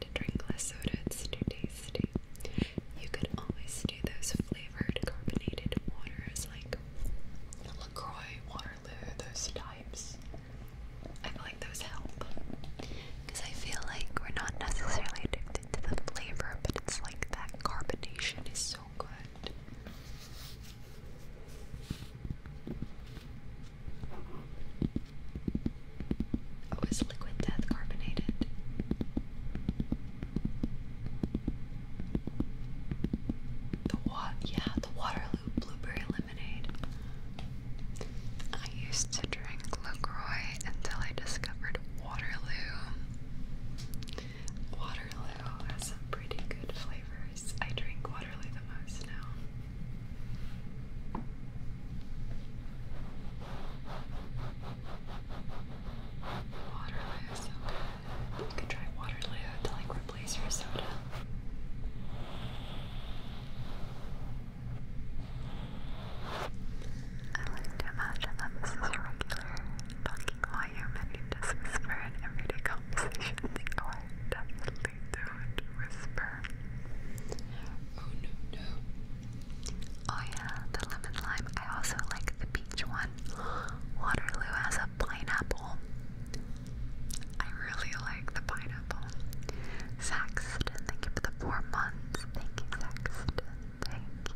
Speaker 1: to drink less soda, it's too tasty. You could always do those flavored carbonated waters like LaCroix, Waterloo, those types. I feel like those help. Because I feel like we're not necessarily addicted to the flavor, but it's like that carbonation is so good. Oh, is liquid death carbonated? The water, yeah, the Waterloo Blueberry Lemonade. I used to drink LaCroix until I discovered Waterloo. Waterloo has some pretty good flavors. I drink Waterloo the most now. Water so good. You could try Water to like replace your soda. I like to imagine that this is your regular talking volume and you just whisper in everyday conversations. Oh, I definitely don't whisper. Oh no, no. Oh yeah, the lemon lime. I also like the peach one. Waterloo has a pineapple. I really like the pineapple. Saxton, thank you for the four months. Thank you, Saxton. Thank you.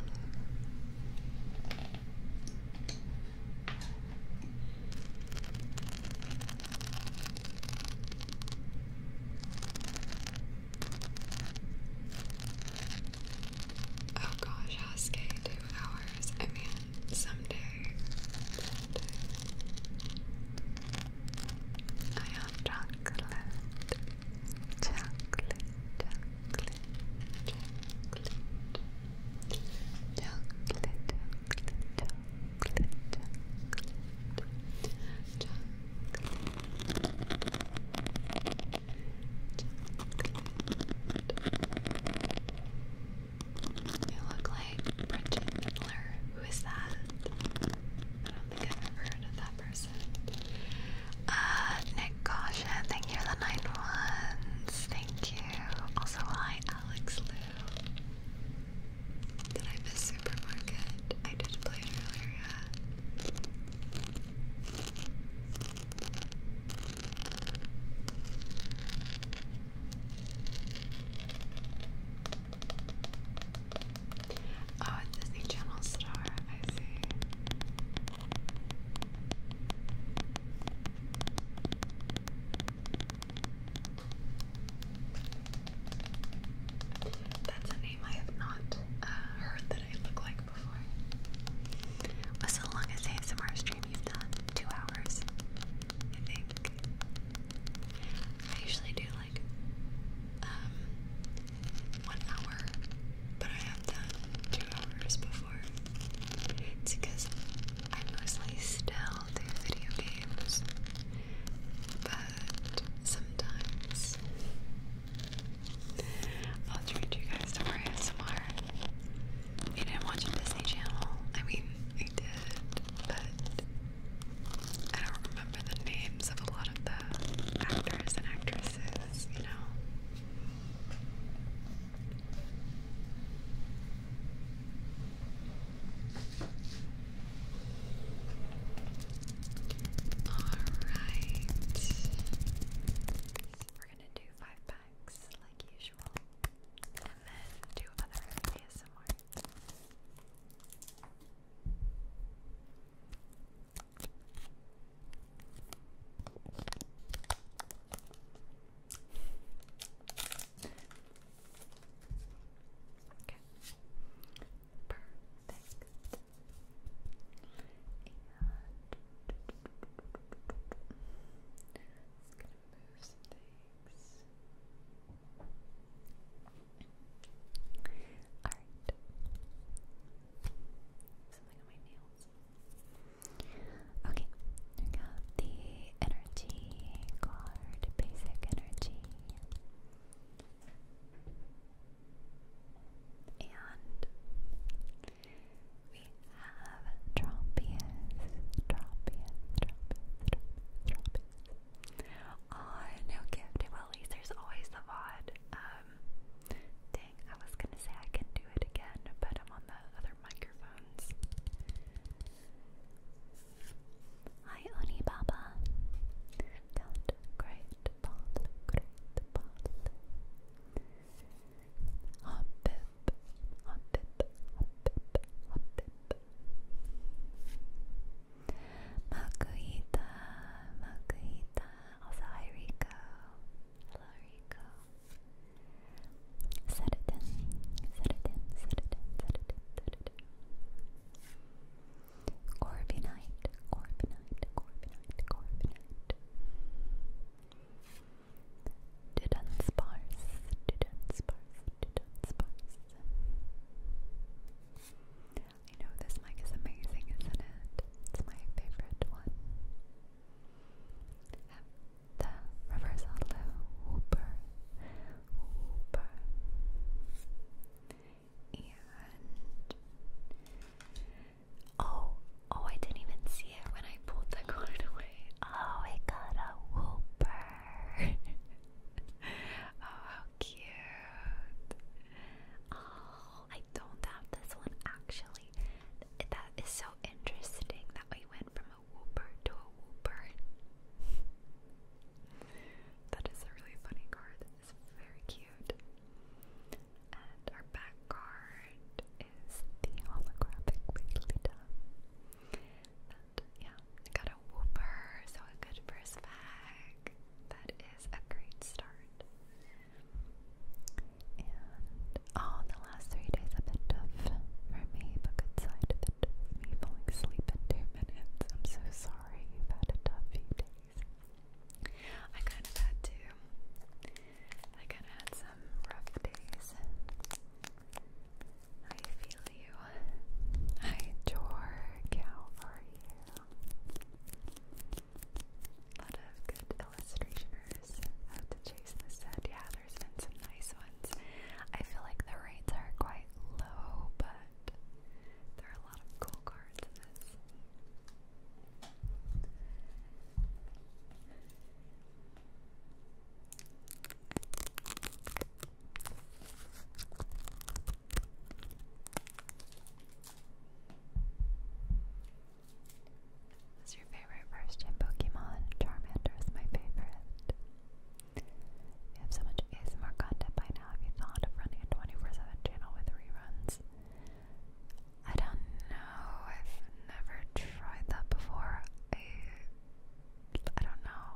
Speaker 1: Oh gosh, I Husky, two hours. I mean, someday, I have chocolate, chocolate, chocolate, chocolate, chocolate, chocolate, chocolate, chocolate. chocolate. You look like Bridget Miller. Who is that? I don't think I've ever heard of that person. Uh, Nick Gosha, thank you the nine ones. Thank you. Also, hi, Alex Lou. Did I supermarket? I just played earlier, Oh, Disney Channel Star, I see. That's a name I have not uh, heard that I look like back What's the longest ASMR stream you've done? Two hours, I think. I usually do like um one hour, but I have done two hours before. It's because I mostly still do video games, but sometimes I'll treat you guys to more ASMR. I didn't watch Disney Channel. I mean, I did, but I don't remember the names of a lot of the actors and actresses, you know. Alright. We're gonna do five packs like usual. And then do other ASMR. Okay. Perfect just going Alright. Something on my nails. Okay, I got the energy card, basic energy. And we have Tropius, Tropius, Tropius, Tropius, Oh, no gift. Well, at least there's always the VOD. Um, dang, I was gonna say I can do it again, but I'm on the other microphones. Hi, Oni Baba that great path, great Hop up, hop up, hop up, hop it in, set it in, set it in, set it in, set it in. Didn't sparse, didn't sparse, did know this mic is amazing, isn't it? It's my favorite one. The reverse hollow whooper, oh, oh, I didn't even see it when I pulled the card *laughs* away. Oh, I got a whooper. *laughs* oh, how cute. Oh, I don't have this one actually. That is so interesting that we went from a whooper to a whooper. *laughs* that is a really funny card is very cute. And our back card is the holographic Lita. yeah, got a whooper, so a good first bag. That is a great start. And oh, the last three days a bit tough for me, but good side of it. Me falling asleep in two minutes. so sorry you've had a tough few days. I kind of had to. I kind of had some rough days. I feel you. I Jorg, how are you? A lot of good illustrationers out to chase this set. Yeah, there's been some nice ones. I feel like the rates are quite low, but there are a lot of cool cards in this. What's your favorite first gen Pokemon? Charmander is my favorite. We have so much ASMR content by now. Have you thought of running a 24-7 channel with reruns? I don't know. I've never tried that before. I I don't know.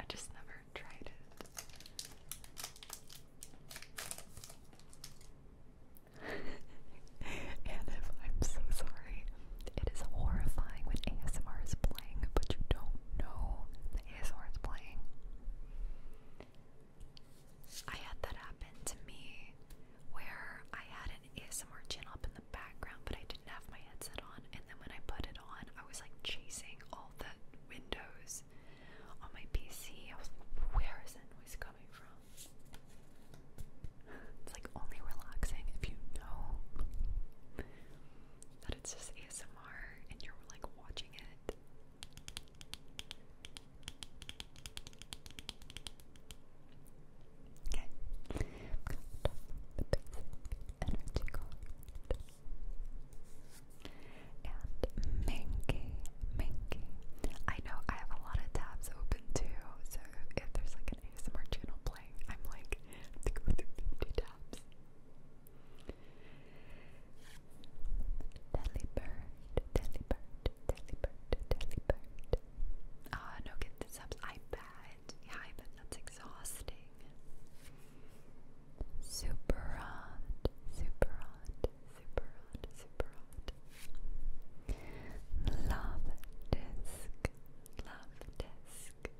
Speaker 1: I just never tried it. *laughs* and if I'm so sorry, it is horrifying when ASMR is playing, but you don't know the ASMR is playing. I had that happen to me where I had an ASMR channel up in the background, but I didn't have my headset on. And then when I put it on, I was like chasing all the windows on my PC. I was like, where is that noise coming from? *laughs* It's like only relaxing if you know that it's just ASMR and you're like watching it. Okay, i energy card. And Minky, Minky. I know I have a lot of tabs open too, so if there's like an ASMR channel playing, I'm like, to go through 50 tabs. Delibird, Delibird, Delibird, Delibird. Ah, oh, no, get this up. I bet. Yeah, I bet that's exhausting. Super hot, super hot, super hot, super hot. Love disc, love disc.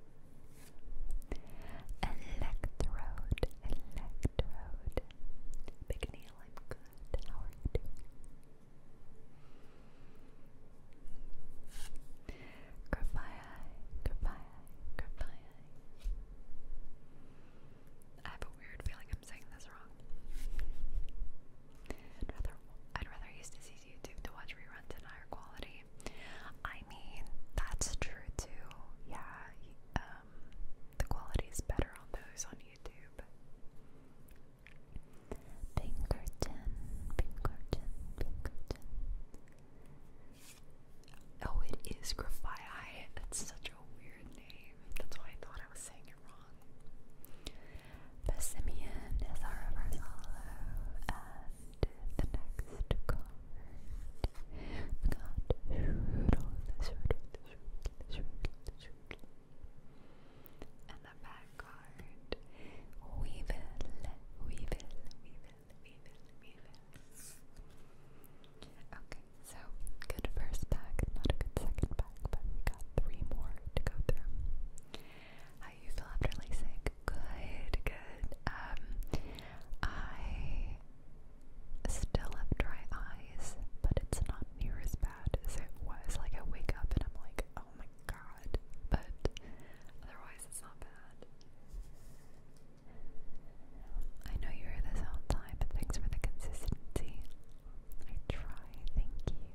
Speaker 1: Electrode, electrode. Big Neil, Goodbye, goodbye, goodbye. I have a weird feeling I'm saying this wrong. I'd rather, use this easy YouTube to watch reruns in higher quality. I mean, that's true too. Yeah, um, the quality is better on those on YouTube. Pinkerton, Pinkerton, Pinkerton. Oh, it is Grafii. That's such a weird name. That's why I thought I was saying it wrong. Persimmon is our reverse and the next card. We've got Shroodle, Shroodle, Shroodle, Shroodle, and the back card. We will, we will, we will, we will, we will. Okay, so good first pack, not a good second pack, but we got three more to go through. How you feel after LASIK? Good, good. Um, I still have dry eyes, but it's not near as bad bad as it was. Like I wake up and I'm like, oh my god. But otherwise it's not bad. I know you hear this all time, but thanks for the consistency. I try, thank you.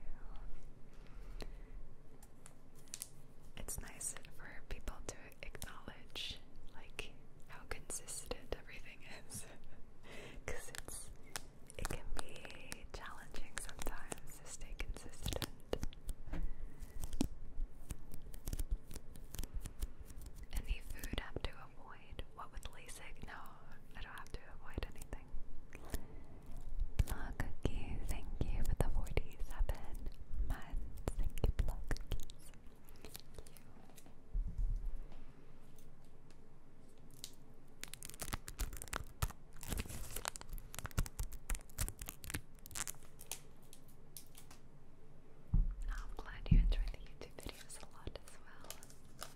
Speaker 1: It's nice for people to acknowledge like how consistent everything is. *laughs* Cause it's it can be challenging sometimes to stay consistent. Any food have to avoid? What with LASIK? No, I don't have to avoid anything. Plug cookie, thank you for the 47 months. Thank you, plug I'm glad you enjoy the YouTube videos a lot as well.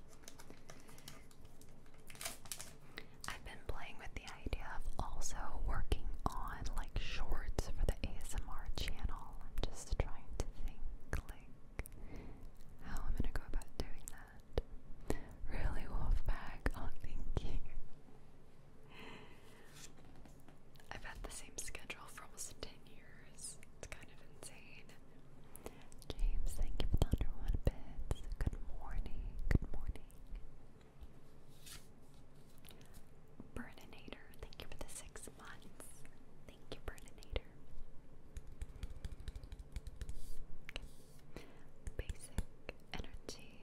Speaker 1: I've been playing with the idea of also working on like shorts for the ASMR channel. I'm just trying to think like how I'm gonna go about doing that. Really, Wolfpack? Oh, thank you. I've had the same schedule for almost 10 years. It's kind of insane. James, thank you for the under one bits. Good morning. Good morning. Burninator, thank you for the six months. Thank you, Burninator. Basic energy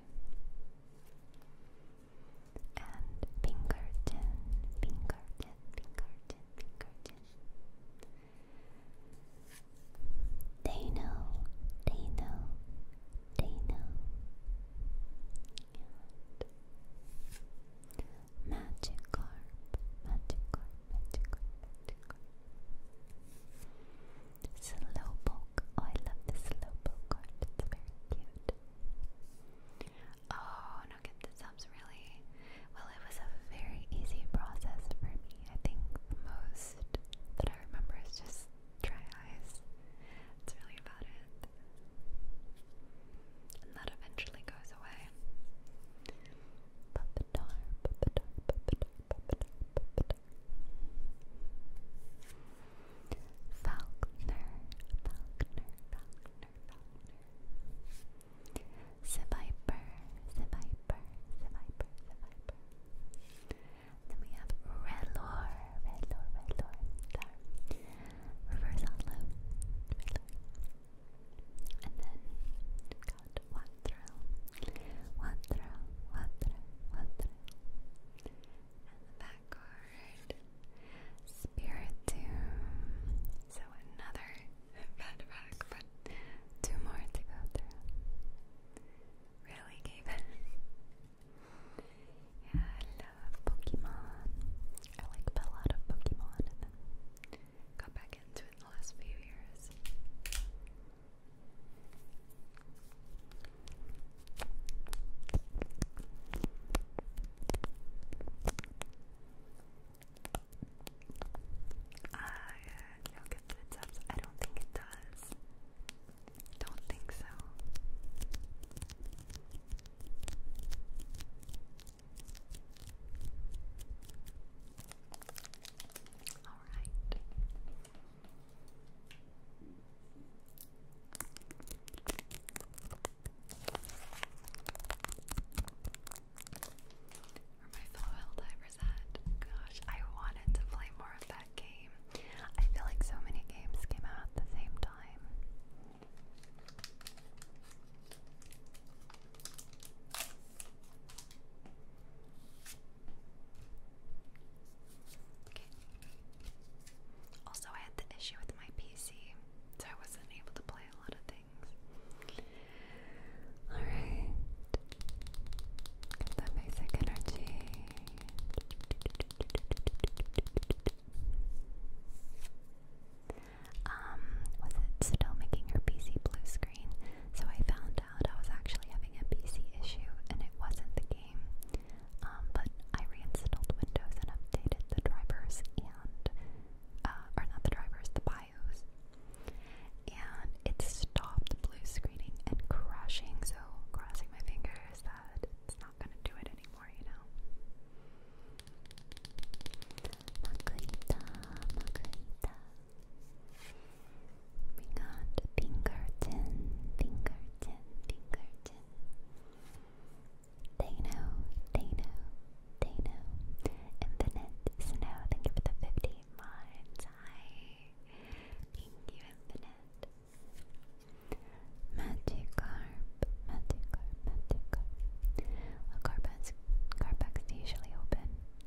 Speaker 1: and Pinkerton, Pinkerton, Pinkerton, Pinkerton. They know, they know, they know. And Magikarp, Magikarp, Magikarp, Magikarp. Slowpoke. Oh, I love the slowpoke art. It's very cute. Oh, no, get this up. Really, well, it was a very easy process for me. I think the most that I remember is just dry eyes. That's really about it. And that eventually goes away. Puppetar, puppetar, puppetar, puppetar, Then we have Relor, Relor, Relor, Star. Reverse Hollow, Relor. And then, cuatro, cuatro, cuatro, cuatro. And the back card, Spiritomb. So another *laughs* bad back, but two more to go through. Really, Gaben? yeah, I love Pokemon. I like a lot of Pokemon and then got back into it in the last few years. I uh, no get the tops. I don't think it does. Don't think so alright. my fellow divers at? Gosh, I wanted to play more of that game. I feel like so many games came out at the same time. Also, I had the issue with my PC, so I wasn't able to play a lot of things. Alright. Get basic energy. Um, was it still making her PC blue screen? So I found I was actually having a PC issue and it wasn't the game. Um, but I reinstalled Windows and updated the drivers and, uh, or not the drivers, the BIOS. And it stopped blue screening and crashing, so crossing my fingers that it's not gonna do it anymore, you know. We got Pinkerton, Pinkerton, Pinkerton. They know, they know, they know. Infinite Snow, thank you for the 50 months. Hi. Thank you, Infinite. Magikarp, Magikarp, Magikarp. Well, Carpet's, Carpet's usually open.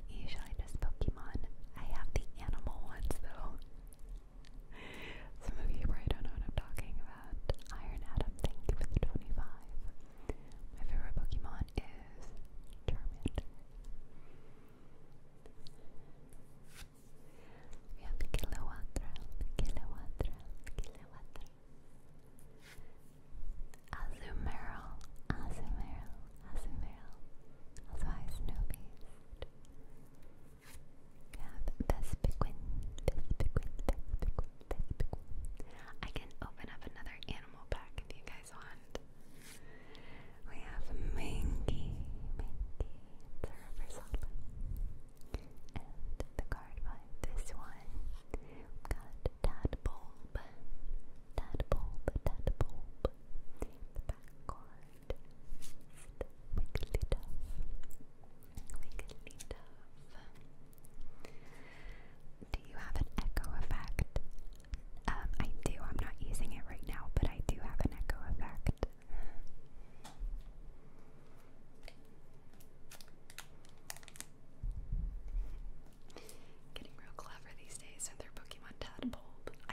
Speaker 1: Usually just Pokemon. I have the animal ones though. *laughs* Some of you probably don't know what I'm talking about. Iron Adam, thank you for the 25. My favorite Pokemon is Charmander. We have the Kilowatra, Kilowatra, Kilowatra. Azumarill, Azumarill, Azumarill. Size no beast. Cap Vespiquin, Vespiquin, Vespiquin, Vespiquin. I can open up another animal pack if you guys want. We have Minky, Minky, the river salt. And the card by this one, got Tadpole, Tadpole, Tadpole, do you have an echo effect? Um, I do. I'm not using it right now, but I do have an echo effect. Getting real clever these days with their Pokemon I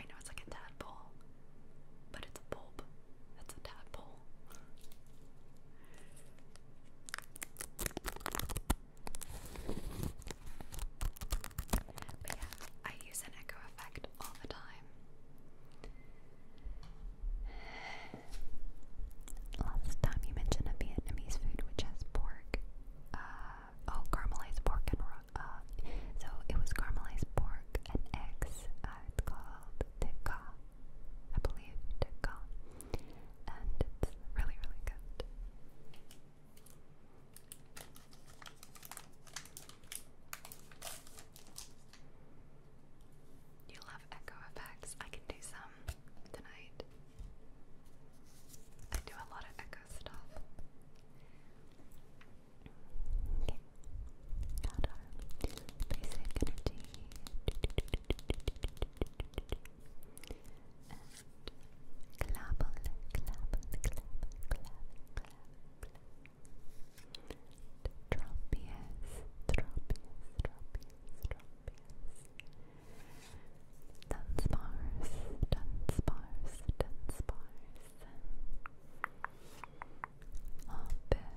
Speaker 1: know it's like a tadpole, but it's a bulb. That's a tadpole. But yeah, I use an echo effect all the time. Last time you mentioned a Vietnamese food which has pork. Uh, oh, caramelized pork and uh, so it was caramelized pork and eggs. Uh, it's called tikka, I believe tikka, and it's really really good. You love echo effects. I can do some tonight. I do a lot of echo stuff. Okay. Got our basic energy. clap, clap, clap, clap, clap, clap. Tropius, tropius, tropius, tropius. Dunspars, Dunspars, Hoppip,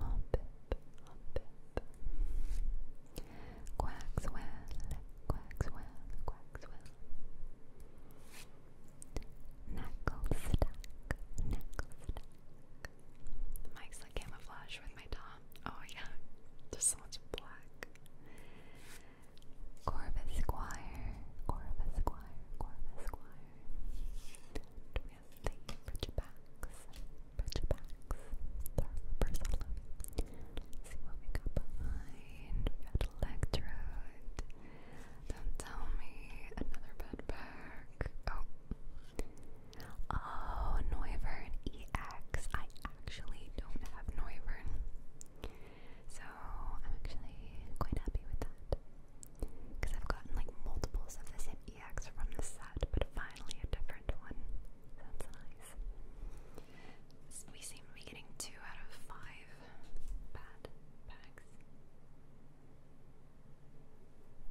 Speaker 1: hoppip, hoppip. Quackswell, quackswell, quackswell. Knuckle stack, knuckle stack. The like camouflage with my top. Oh yeah, there's so much black. Corvus Squire, Corvus Squire, Corvus Squire. Do we have the Bridgebacks? Bridgebacks. Sorry for Priscilla. let see what we got behind. We got Electrode. Don't tell me another bed Oh. Oh, Noivern EX. I actually don't have Noivern. So I'm actually quite happy with that. Because I've gotten like multiples of the same EX from this set, but finally a different one. That's nice. we seem to be getting two out of five bad packs.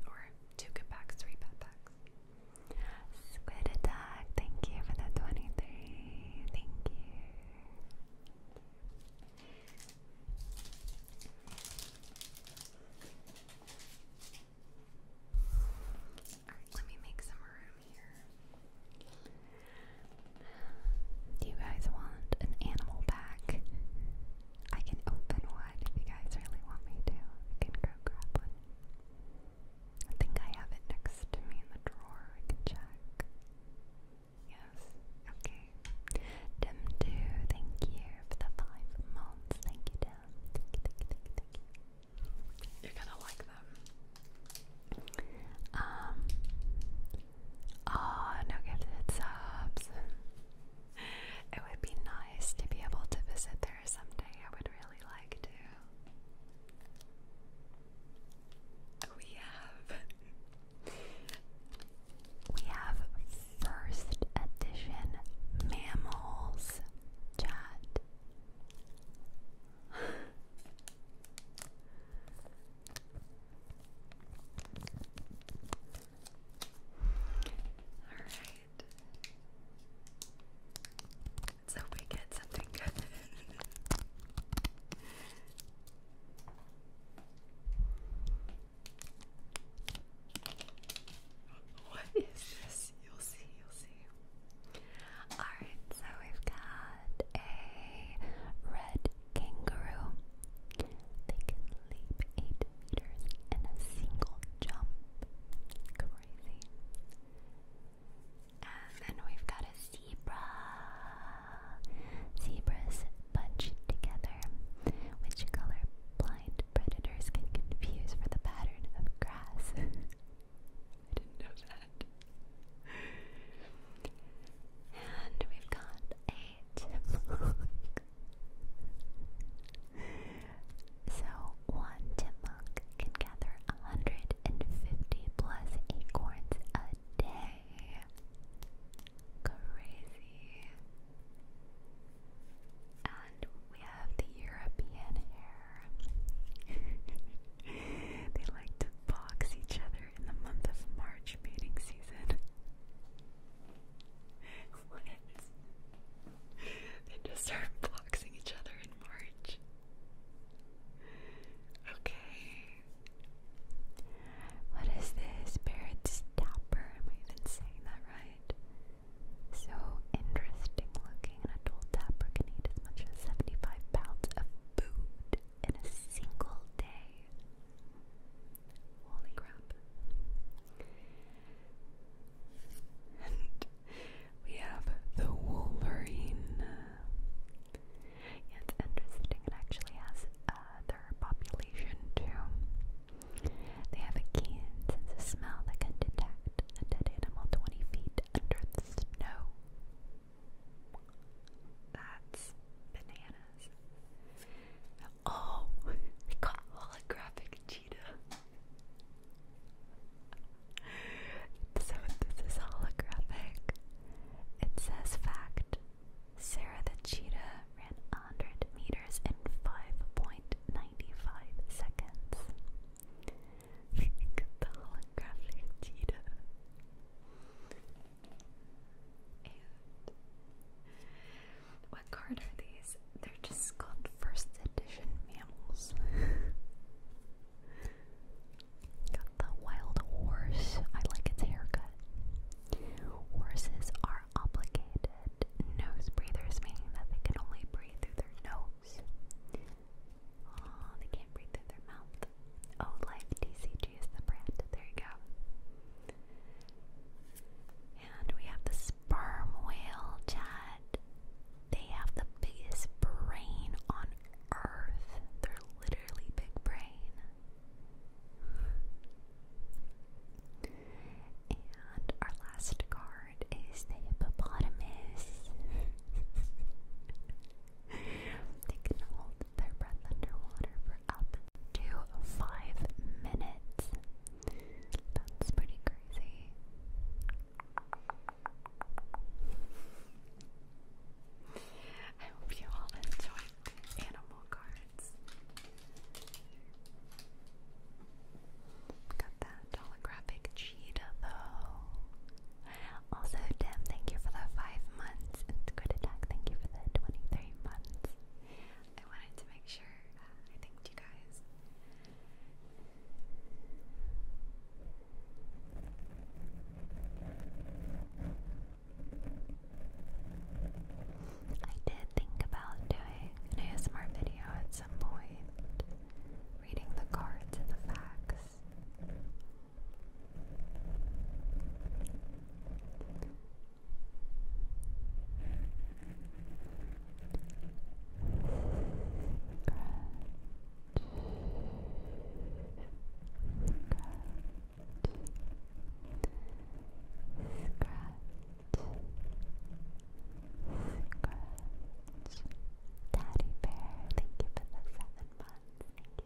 Speaker 1: Or two good packs, three bad packs. Squid Attack, thank you for the 23. Thank you let me make some room here. Do you guys want an animal pack? I can open one if you guys really want me to. I can go grab one. I think I have it next to me in the drawer. I can check. Yes. Okay. Dem two, thank you for the five months. Thank you, Dem. you, are gonna like them. Um. Oh, no gifted subs. It would be nice to be able to visit there someday. I would really like to. We have we have first edition mammals chat. All right. we get something good. *laughs* What is this? You'll see, you'll see. Alright, so we've got a red kangaroo. They can leap 8 meters in a single jump. Crazy. And then we've got a zebra. Zebras bunch together, which color-blind predators can confuse for the pattern of grass. *laughs* I didn't know that. And we've got a chipmunk. so one chipmunk can gather 150 plus acorns a day. Crazy. And we have the European hair. *laughs* they like to box each other in the month of March mating season. *laughs* what? They just start boxing each other in March. Okay. What is this? Barrett Stapper. Am I even saying that right? So interesting looking. An adult tapper can eat as much as 75 pounds of food in a single day. Holy crap. we have the Wolverine. It's interesting, it actually has uh, their population too. They have a keen sense of smell that can detect a dead animal 20 feet under the snow. That's bananas. Oh, they got holographic cheetah. So this is holographic. It says fact. Sarah the Cheetah ran 100 meters in 5.95 seconds. *laughs* what card are these? They're just called first edition mammals. *laughs* Got the wild horse. I like its haircut. Horses are obligated nose breathers, meaning that they can only breathe through their nose. Oh, they can't breathe through their mouth. Oh, Life DCG is the brand. There you go. And we have the sperm whale, Chad. They have the biggest brain on earth. They're literally big brain. And our last card is the hippopotamus. *laughs* they can hold their breath underwater for up to five minutes. That's pretty crazy. I hope you all enjoyed animal cards. Got that holographic cheetah though. Also, Tim, thank you for the five months. And good Attack, thank you for the 23 months. I wanted to make sure uh, I thanked you guys. I did think about doing an ASMR video at some point, reading the cards and the facts. Scratch. Daddy Bear, thank you for the seven months. Thank you, Daddy Bear. Scratch, scratch.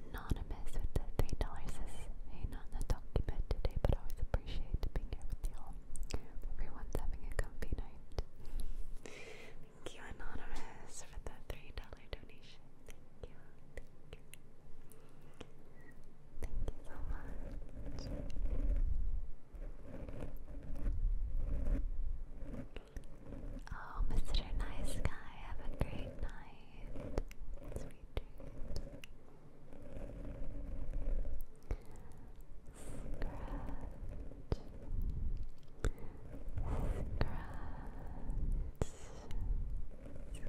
Speaker 1: Anonymous with the three dollars is hey, not in the document today, but always appreciate being here with y'all. Everyone's having a comfy night. Thank you, Anonymous, for the three dollar donation. Thank you. Thank you so much. Oh, Mr. Nice Guy, have a great night. Sweet dreams. Scratch. Scratch. Scratch. Scratch.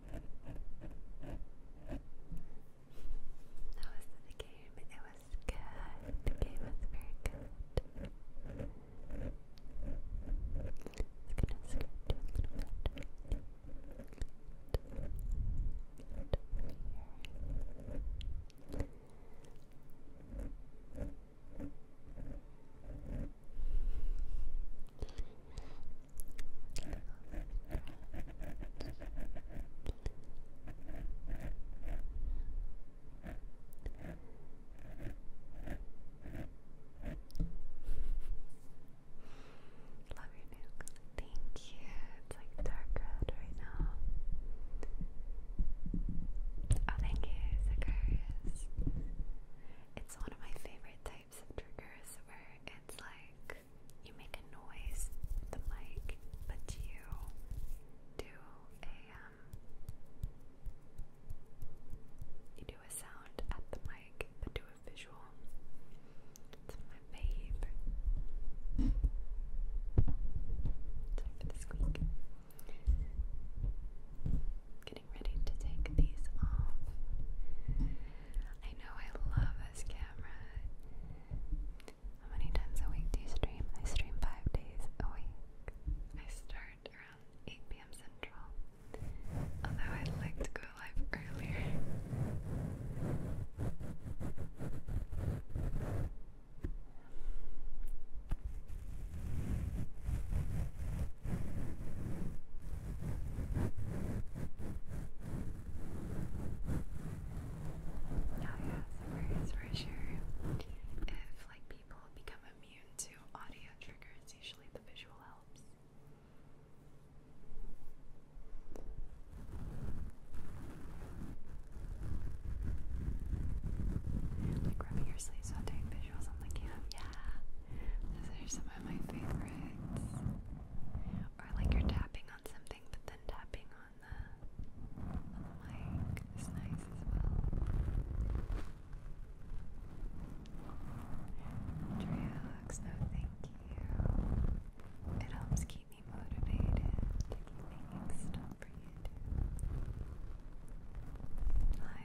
Speaker 1: That was the game. It was good. The game was very good. It's gonna skirt a little bit. Love your new Thank you. It's like dark red right now. Oh, thank you, Zacharias. It's one of my favorite types triggers where it's like you make a noise the mic, but you do a um, you do a sound at the mic, but do a visual. It's my babe. Sorry for the squeak. Getting ready to take these off. I know I love this camera. How many times a week do you stream? I stream five days a week. I start around 8 p.m. Central, although I'd like to go live earlier. Now, oh, for sure. If like people become immune to audio triggers, usually the visual helps. Like rubbing your sleeves while visuals on the cam. Yeah, those are some of my favorites. Or like you're tapping on something, but then tapping on the, on the mic is nice as well. Dreox, no thank you. It helps keep me motivated to for you too. Hi,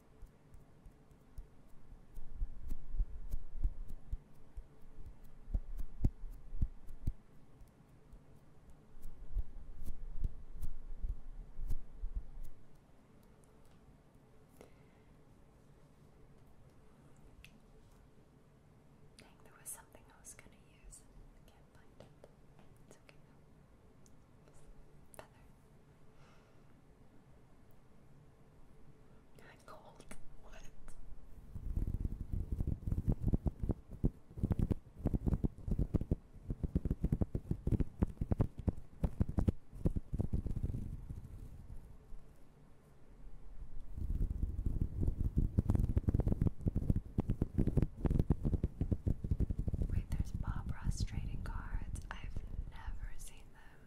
Speaker 1: Dang, there was something I was going to use. I can't find it. It's okay though. Feather. You're cold. What? Wait, there's Bob Ross trading cards. I've never seen them.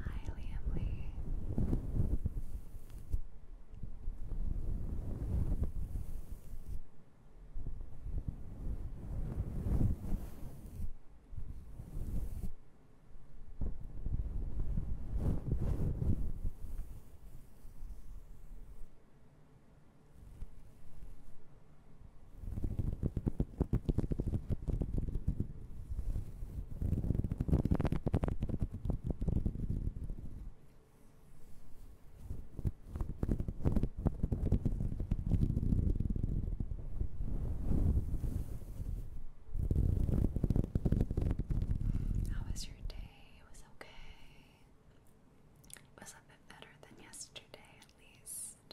Speaker 1: Hi, Liam Lee. How was your day? It was okay. It was a bit better than yesterday, at least.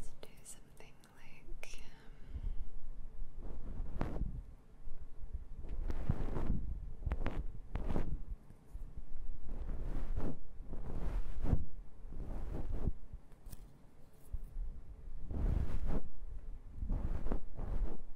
Speaker 1: Let's do something like. Um,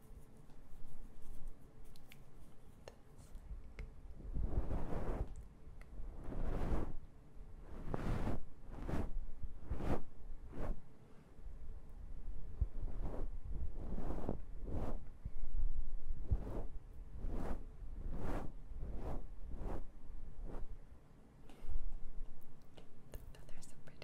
Speaker 1: The feathers are pretty.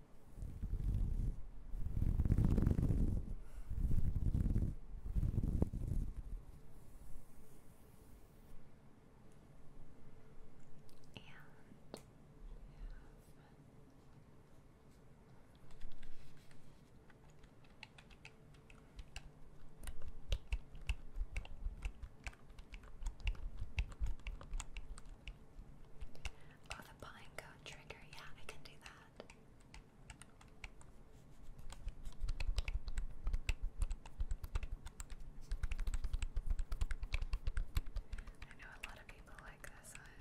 Speaker 1: Oh, the pine code trigger. Yeah, I can do that. I know a lot of people like this one.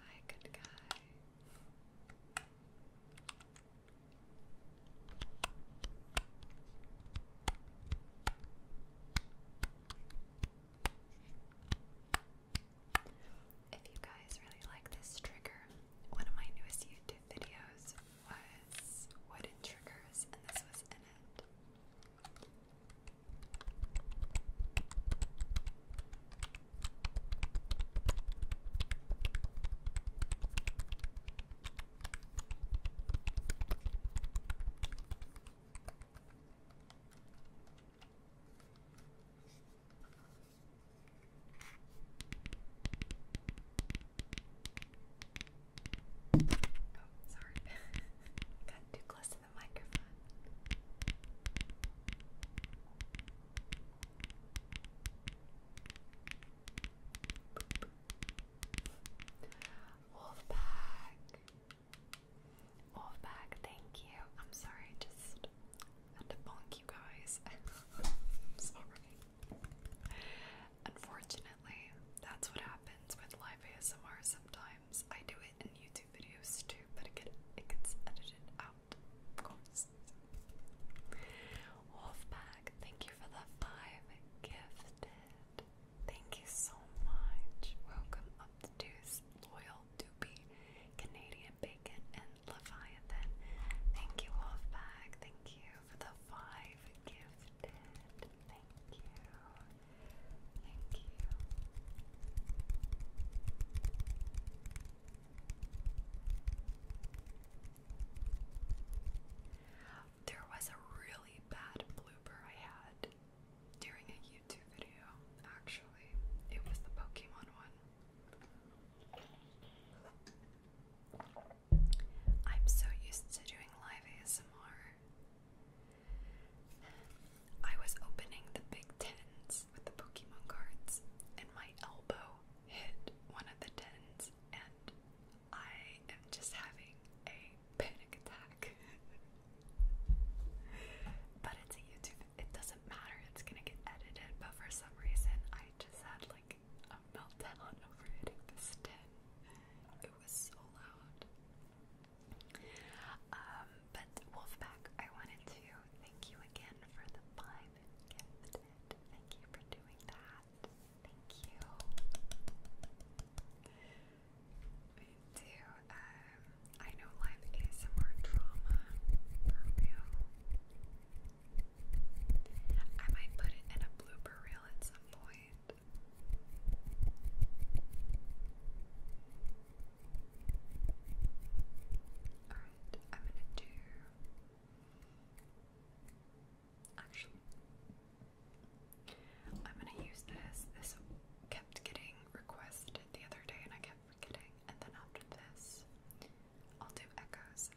Speaker 1: Hi, good guy. If you guys really like this trigger, one of my newest YouTube videos was wooden triggers, and this was in it sorry. Got too close to the microphone. Wolfpack. Wolfpack, thank you. I'm sorry, just had to bonk you guys. *laughs* sorry. Unfortunately, that's what happens with live ASMR sometimes. I do it in YouTube videos too, but it, gets edited out, of course. Wolfpack, thank you for the five gifted. Thank you so much. Welcome up to Deuce, Loyal Doopy, Canadian Bacon, and Leviathan. Thank you, Wolfpack. Thank you for the five gifted. Thank you. Thank you. There was a really bad blooper I had during a YouTube video, actually. It was the Pokemon one. I'm so used to doing live ASMR. I was opening the big tins with the Pokemon cards, and my elbow hit one of the tins, and I am just having a panic attack. *laughs* but it's a YouTube, it doesn't matter, it's gonna get edited, but for some reason I just had like like a meltdown over hitting this tin. It was so loud. Um, but Wolfpack, I wanted to thank you again for the five Thank you for doing that. Thank you. Me too. Um, I know live ASMR drama for real. I might put it in a blooper reel at some point. Alright, I'm gonna do. Actually, I'm gonna use this. This kept getting requested the other day, and I kept forgetting. And then after this, I'll do echoes.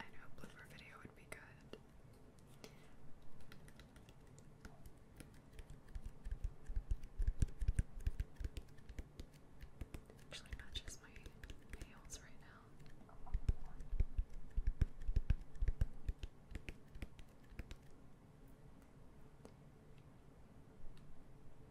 Speaker 1: I know a blooper video would be good. Actually matches my nails right now.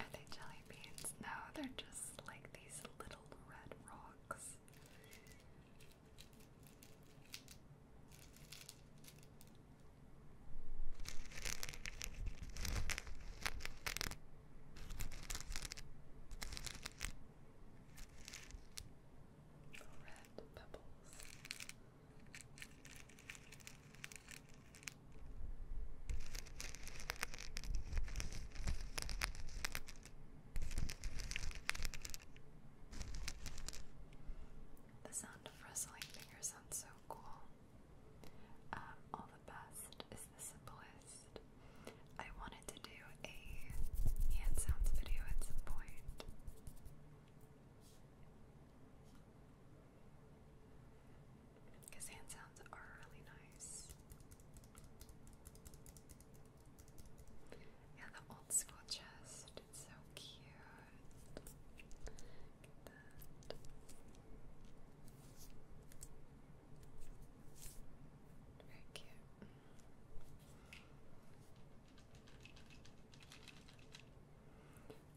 Speaker 1: Are they jelly beans? No, they're just like these little red rocks. Red pebbles. The sound of rustling fingers sounds so cool. Um, all the best is the simplest. I wanted to do a hand sounds video at some point. Because hand sounds are really nice. Yeah, the old school chest. It's so cute. Very cute.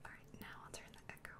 Speaker 1: Alright, now I'll turn the echo on.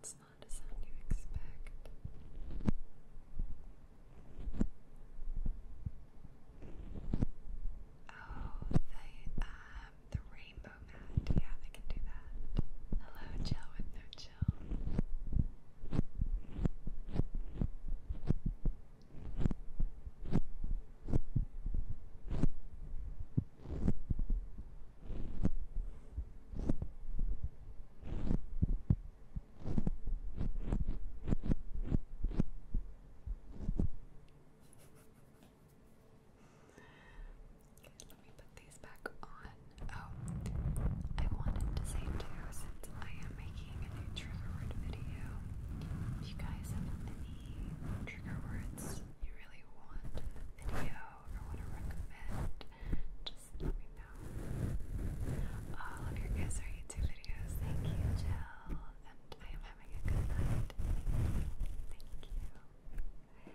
Speaker 1: It's not a sound you expect. Oh, the um, the rainbow that. Yeah, I can do that. Hello, Jill with no chill. Let me put these back on. Oh, I wanted to say too, since I am making a new trigger word video, if you guys have any trigger words you really want in the video or want to recommend, just let me know. All of your guys are YouTube videos. Thank you, Jill. And I am having a good night. Thank you. Thank you.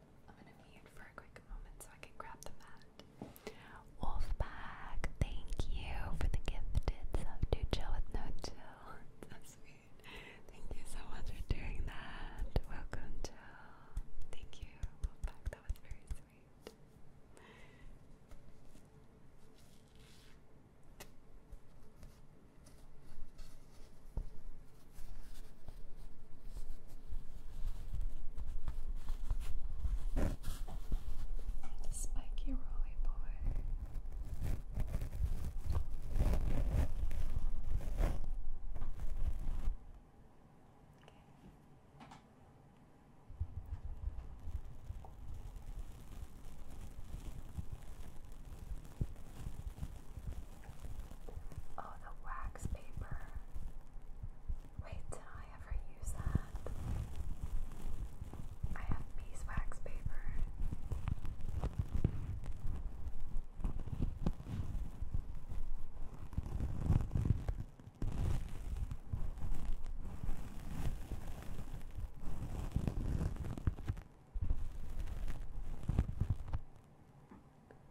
Speaker 1: I'm gonna mute for a quick moment so I can grab the mat. Wolfpack, thank you for the gifted sub to chill with no chill. *laughs* That's sweet. Thank you so much for doing that. Welcome, to. Thank you, Wolfpack. That was very sweet. Spiky roly Boy. Oh, the wax paper. Wait, did I ever use that? I have beeswax paper.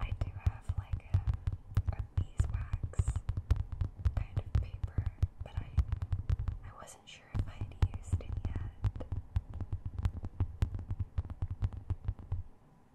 Speaker 1: I do have like a, beeswax kind of paper, but I I wasn't sure if I had used it yet.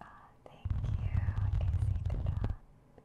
Speaker 1: Ah, thank you, Izzy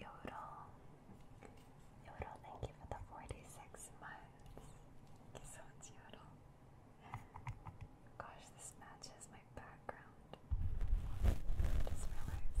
Speaker 1: Yodel. Yodel, thank you for the 46 months. so much, Yodel. Gosh, this matches my background. just realized.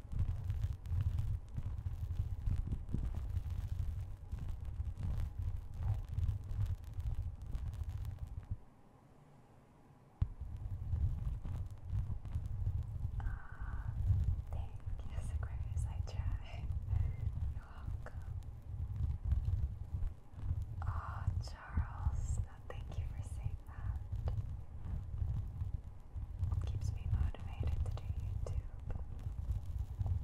Speaker 1: thank you, Aquarius. I tried. You're welcome. Oh, Charles, thank you for saying that keeps me motivated to do YouTube. Thank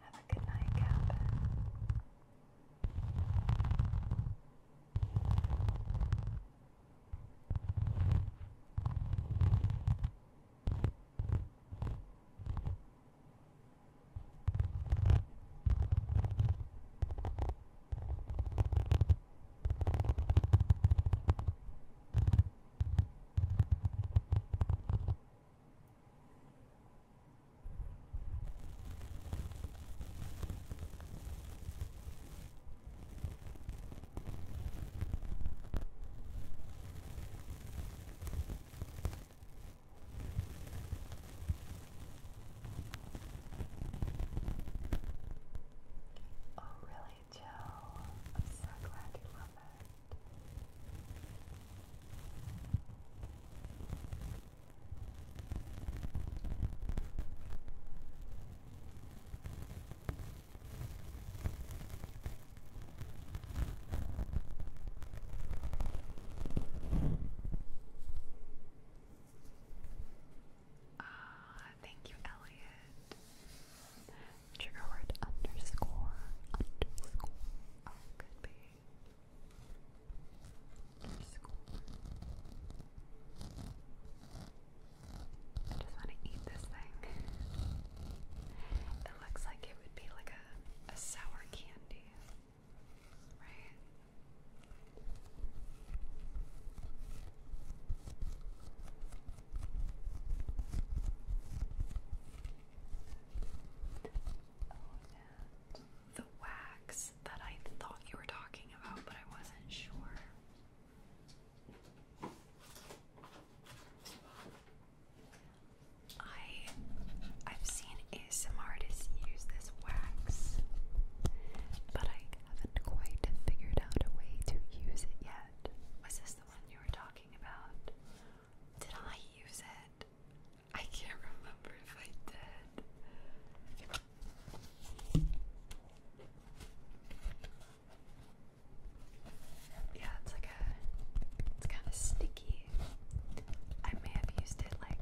Speaker 1: Have a good night, Captain. Oh, really, Joe? I'm so glad you love it. Ah, thank you, Elliot. Trigger word underscore underscore. Oh, just want to eat this thing. It looks like it would be like a, a sour candy, right? The wax that I thought you were talking about, but I wasn't sure. I I've seen some artists use this wax, but I haven't quite figured out a way to use it yet. Was this the one you were talking about? Did I use it? I can't remember if I did. Yeah, it's like a, it's kind of sticky. I may have used it like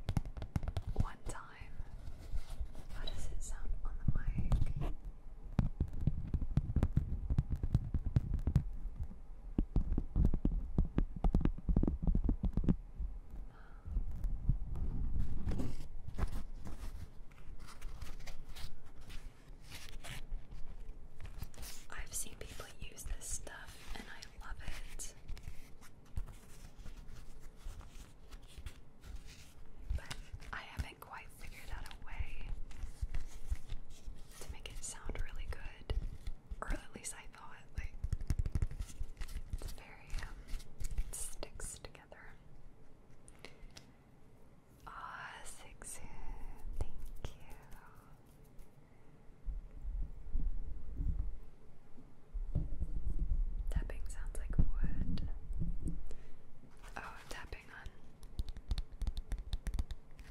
Speaker 1: one time. How does it sound on the mic? I've seen people use this stuff and I love it. But I haven't quite figured out a way to make it sound really good or at least I thought. Like it's very um, sticks together. Ah, Sixu, thank you. Tapping sounds like wood. Oh, tapping on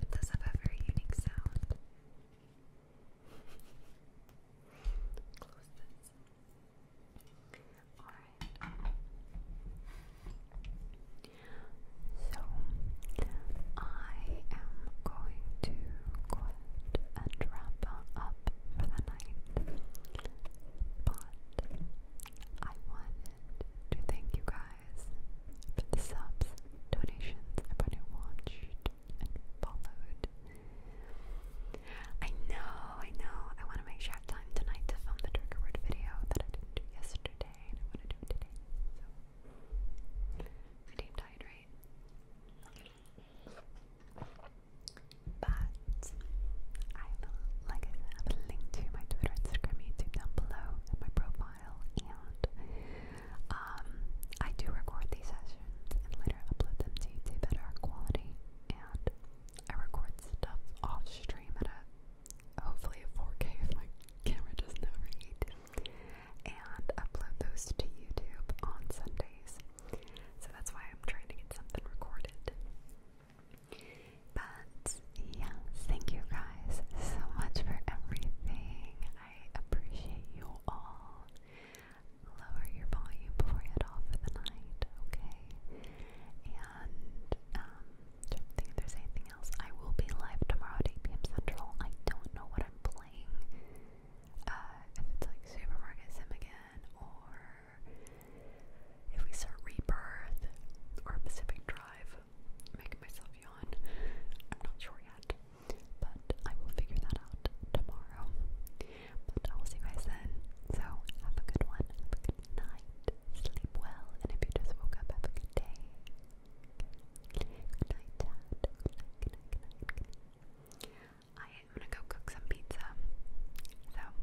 Speaker 1: It does have a very unique sound. Alright. So, I am going to go and wrap up for the night. But I wanted to thank you guys guys for the subs, donations, everybody watched and followed. I know, I know. I want to make sure I have time tonight to film the trigger word video that I didn't do yesterday, and I want to do today. So, my right? But I will, like I said, I will link to my Twitter, Instagram, YouTube down below, and my profile and um, I do record these sessions and later upload them to YouTube at our quality. And I record stuff off stream at a hopefully a 4K if my camera doesn't overheat, and upload those to YouTube on Sundays. So that's why I'm trying to get something recorded. But yeah, thank you guys so much for everything. I appreciate you all. Lower your volume before you head off for the night, okay? And um, don't think there's anything else. I will be live tomorrow at 8 p.m. Central. I don't know what I'm playing. Uh, if it's like Supermarket Sim again, or if we start Rebirth or Pacific Drive, making myself yawn. I'm not sure yet, but I will figure that out tomorrow. But I will see you guys then. So have a good one. Have a good night. Sleep well. And if you just woke up, have a good day. Good night, Good night. Good night. Good night. Good night. I am gonna go cook some pizza. So bye.